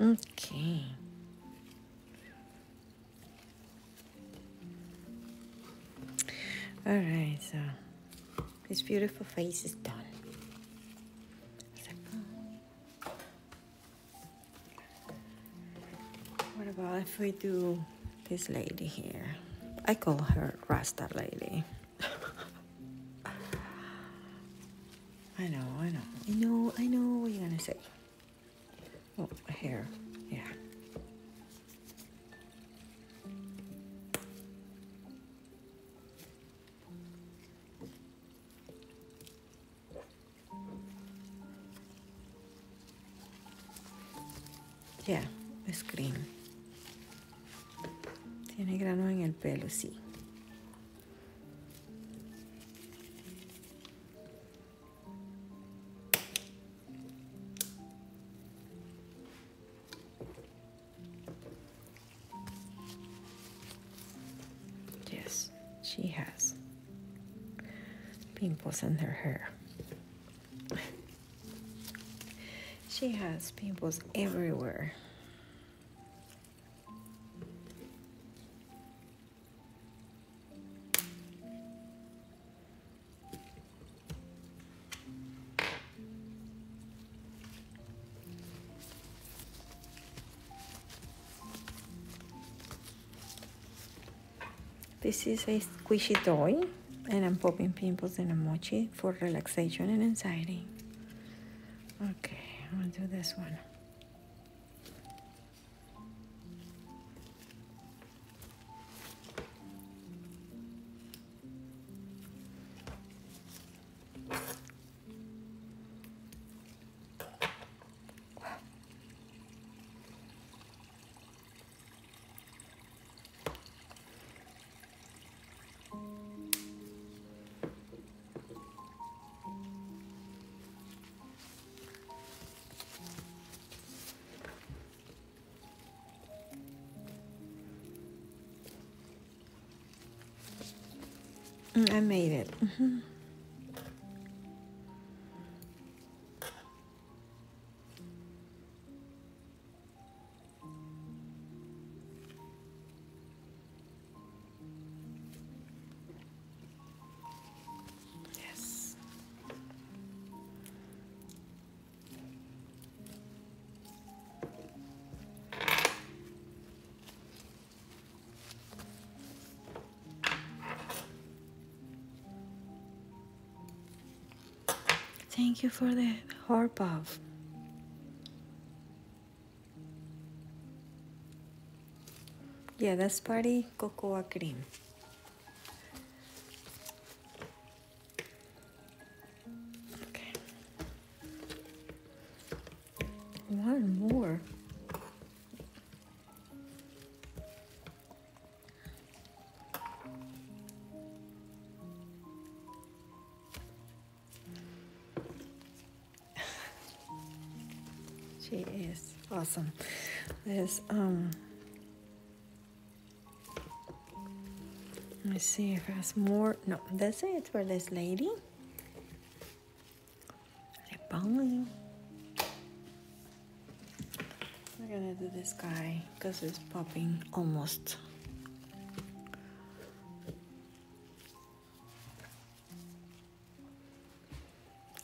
Speaker 1: Okay. All right, so this beautiful face is done. Oh. What about if we do this lady here? I call her Rasta Lady. I know, I know. I know, I know what you're going to say. Oh, a hair. Yeah. Yeah, it's green. Yes, she has pimples in her hair. she has pimples everywhere. This is a squishy toy and I'm popping pimples and a mochi for relaxation and anxiety. Okay, i will do this one. Mm, I made it. Mm-hmm. Yes. Thank you for the heart puff. Yeah, that's party cocoa cream. Okay. One more. she is awesome. This um Let's see if there's more. No, that's it for this lady. Bowling. We're gonna do this guy because it's popping almost.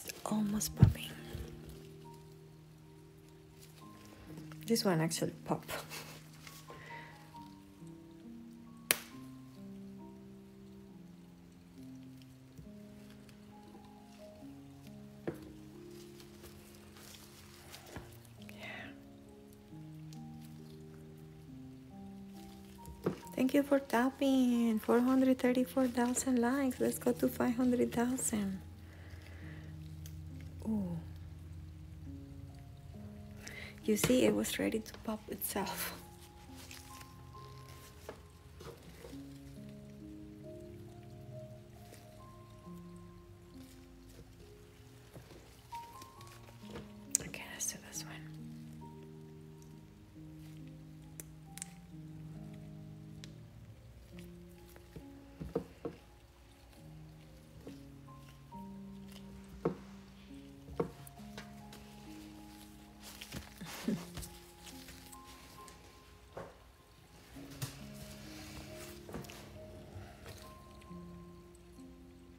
Speaker 1: It's almost popping. This one actually pop. yeah. Thank you for tapping. 434,000 likes. Let's go to 500,000. You see, it was ready to pop itself.
Speaker 2: Okay, let's do this one.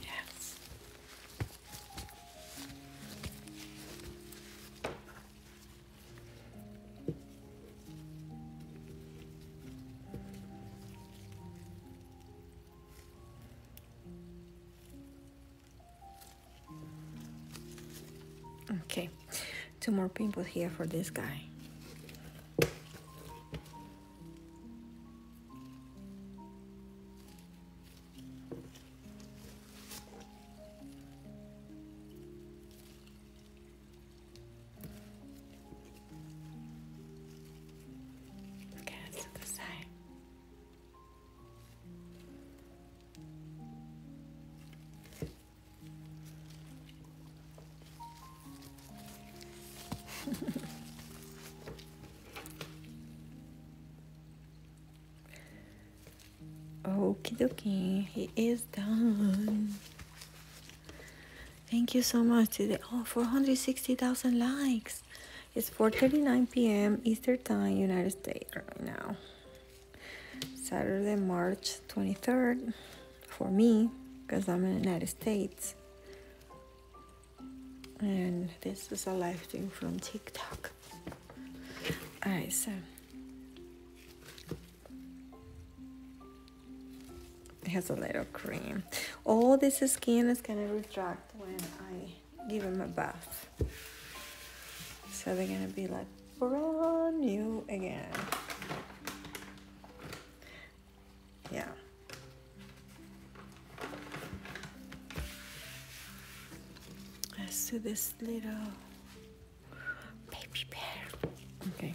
Speaker 1: Yes. Okay, two more people here for this guy.
Speaker 2: Okay, let's do the
Speaker 1: Okie dokie, he is done. Thank you so much today. 460,000 likes. It's 4.39 p.m. Eastern Time, United States right now. Saturday, March 23rd for me because I'm in United States and this is a live thing from TikTok. Alright, so it has a little cream. All this skin is gonna retract when I give him a bath, so they're gonna be like brand new again. Yeah. Let's do this little
Speaker 2: baby bear. Okay.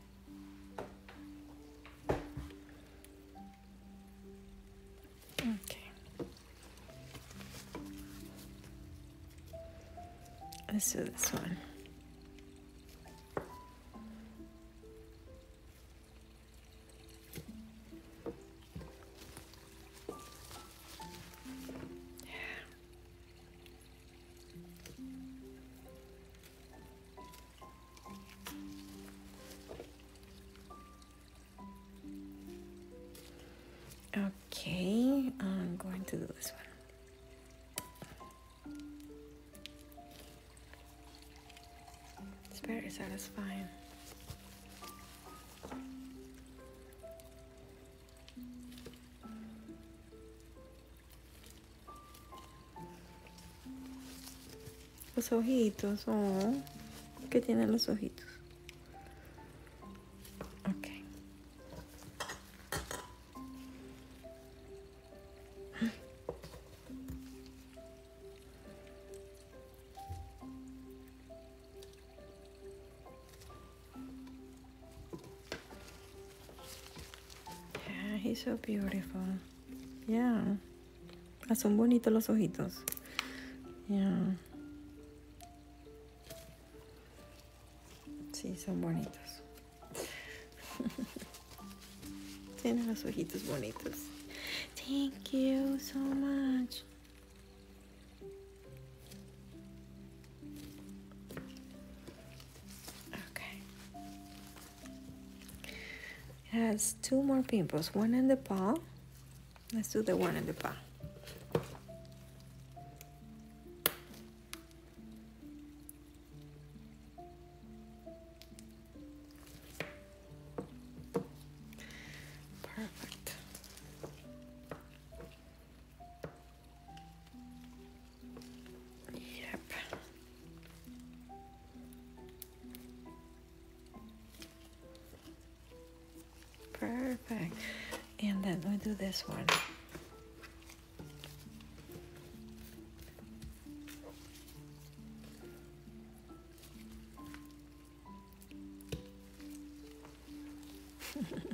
Speaker 1: Let's do this one. Yeah. Okay, I'm going to do this one. It's very satisfying. Los ojitos, oh, que tiene los ojitos. Okay. Yeah, he's so beautiful. Yeah. Ah, son bonitos los ojitos. Sí, son bonitos. Tienen los ojitos bonitos. Thank you so much. Okay. has two more pimples, one in the palm. Let's do the one in the palm. paw. Perfect. And then we do this one.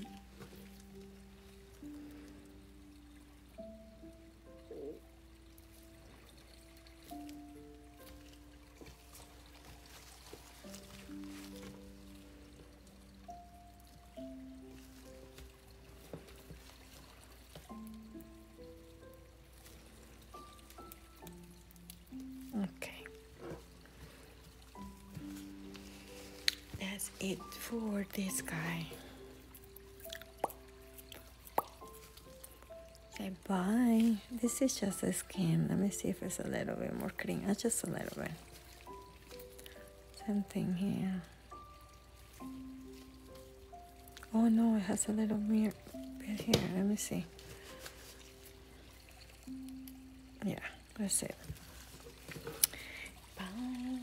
Speaker 1: Okay. That's it for this guy. Say This is just a skin. Let me see if it's a little bit more cream. Uh, just a little bit. Something here. Oh no, it has a little bit here. Let me see. Yeah, that's it. Bye.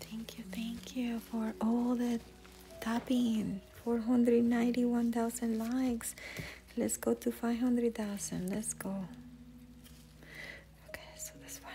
Speaker 1: Thank you, thank you for all the tapping. 491,000 likes. Let's go to 500,000. Let's go. Okay, so this one.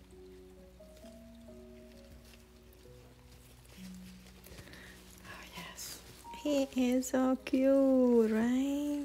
Speaker 1: Oh, he is so cute, right?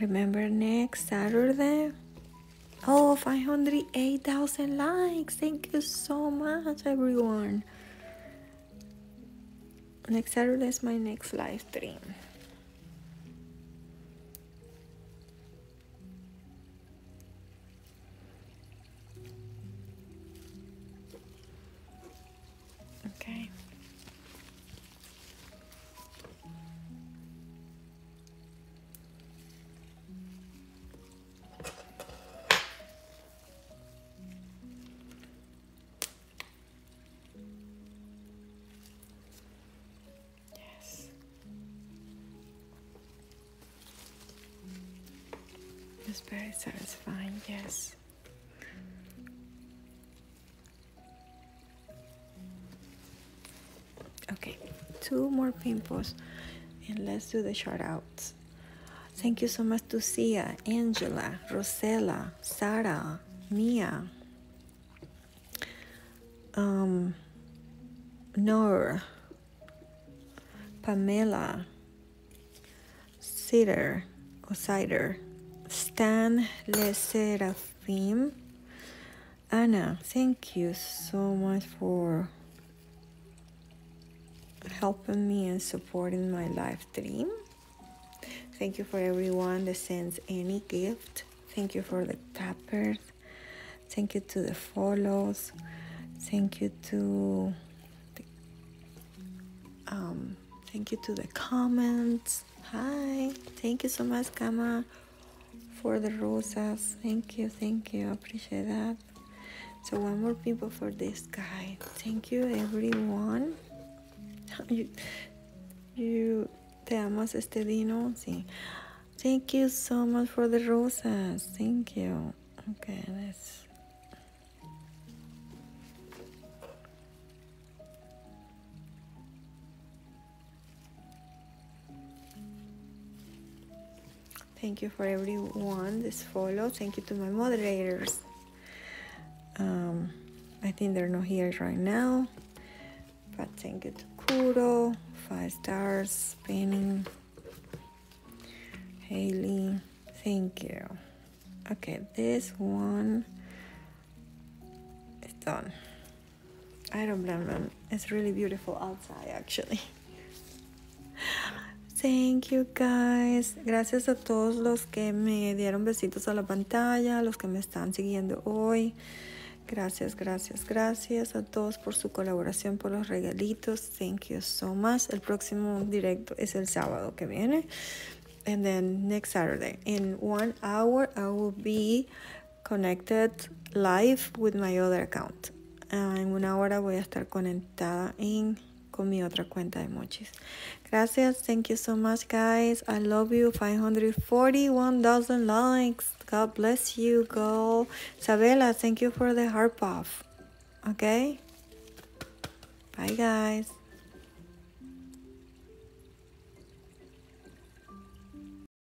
Speaker 1: Remember next Saturday? Oh, 508,000 likes. Thank you so much, everyone. Next Saturday is my next live stream. Okay. Yes. It's very satisfying, yes okay two more pimples and let's do the shout outs thank you so much to Sia, Angela, Rosella, Sarah, Mia, Nora, um, Nor, Pamela, Sider, Osider, Stan Leseraphim. Anna, thank you so much for helping me and supporting my life dream. Thank you for everyone that sends any gift. Thank you for the tappers. Thank you to the follows. Thank you to the, um, thank you to the comments. Hi. Thank you so much, Kama for the rosas. Thank you, thank you. Appreciate that. So one more people for this guy. Thank you, everyone. you, you, te amas este dino, sí. Thank you so much for the rosas. Thank you. Okay, let's. Thank you for everyone this follow. Thank you to my moderators. Um, I think they're not here right now, but thank you to Kuro, five stars, Spinning, Haley. Thank you. Okay, this one is done. I don't blame them. It's really beautiful outside, actually. Thank you guys. Gracias a todos los que me dieron besitos a la pantalla, los que me están siguiendo hoy. Gracias, gracias, gracias a todos por su colaboración, por los regalitos. Thank you so much. El próximo directo es el sábado que viene. And then next Saturday, in one hour, I will be connected live with my other account. Uh, en una hora voy a estar conectada in con mi otra cuenta de emojis. Gracias. Thank you so much, guys. I love you. 541,000 likes. God bless you, girl. Sabela, thank you for the heart puff. Okay? Bye, guys.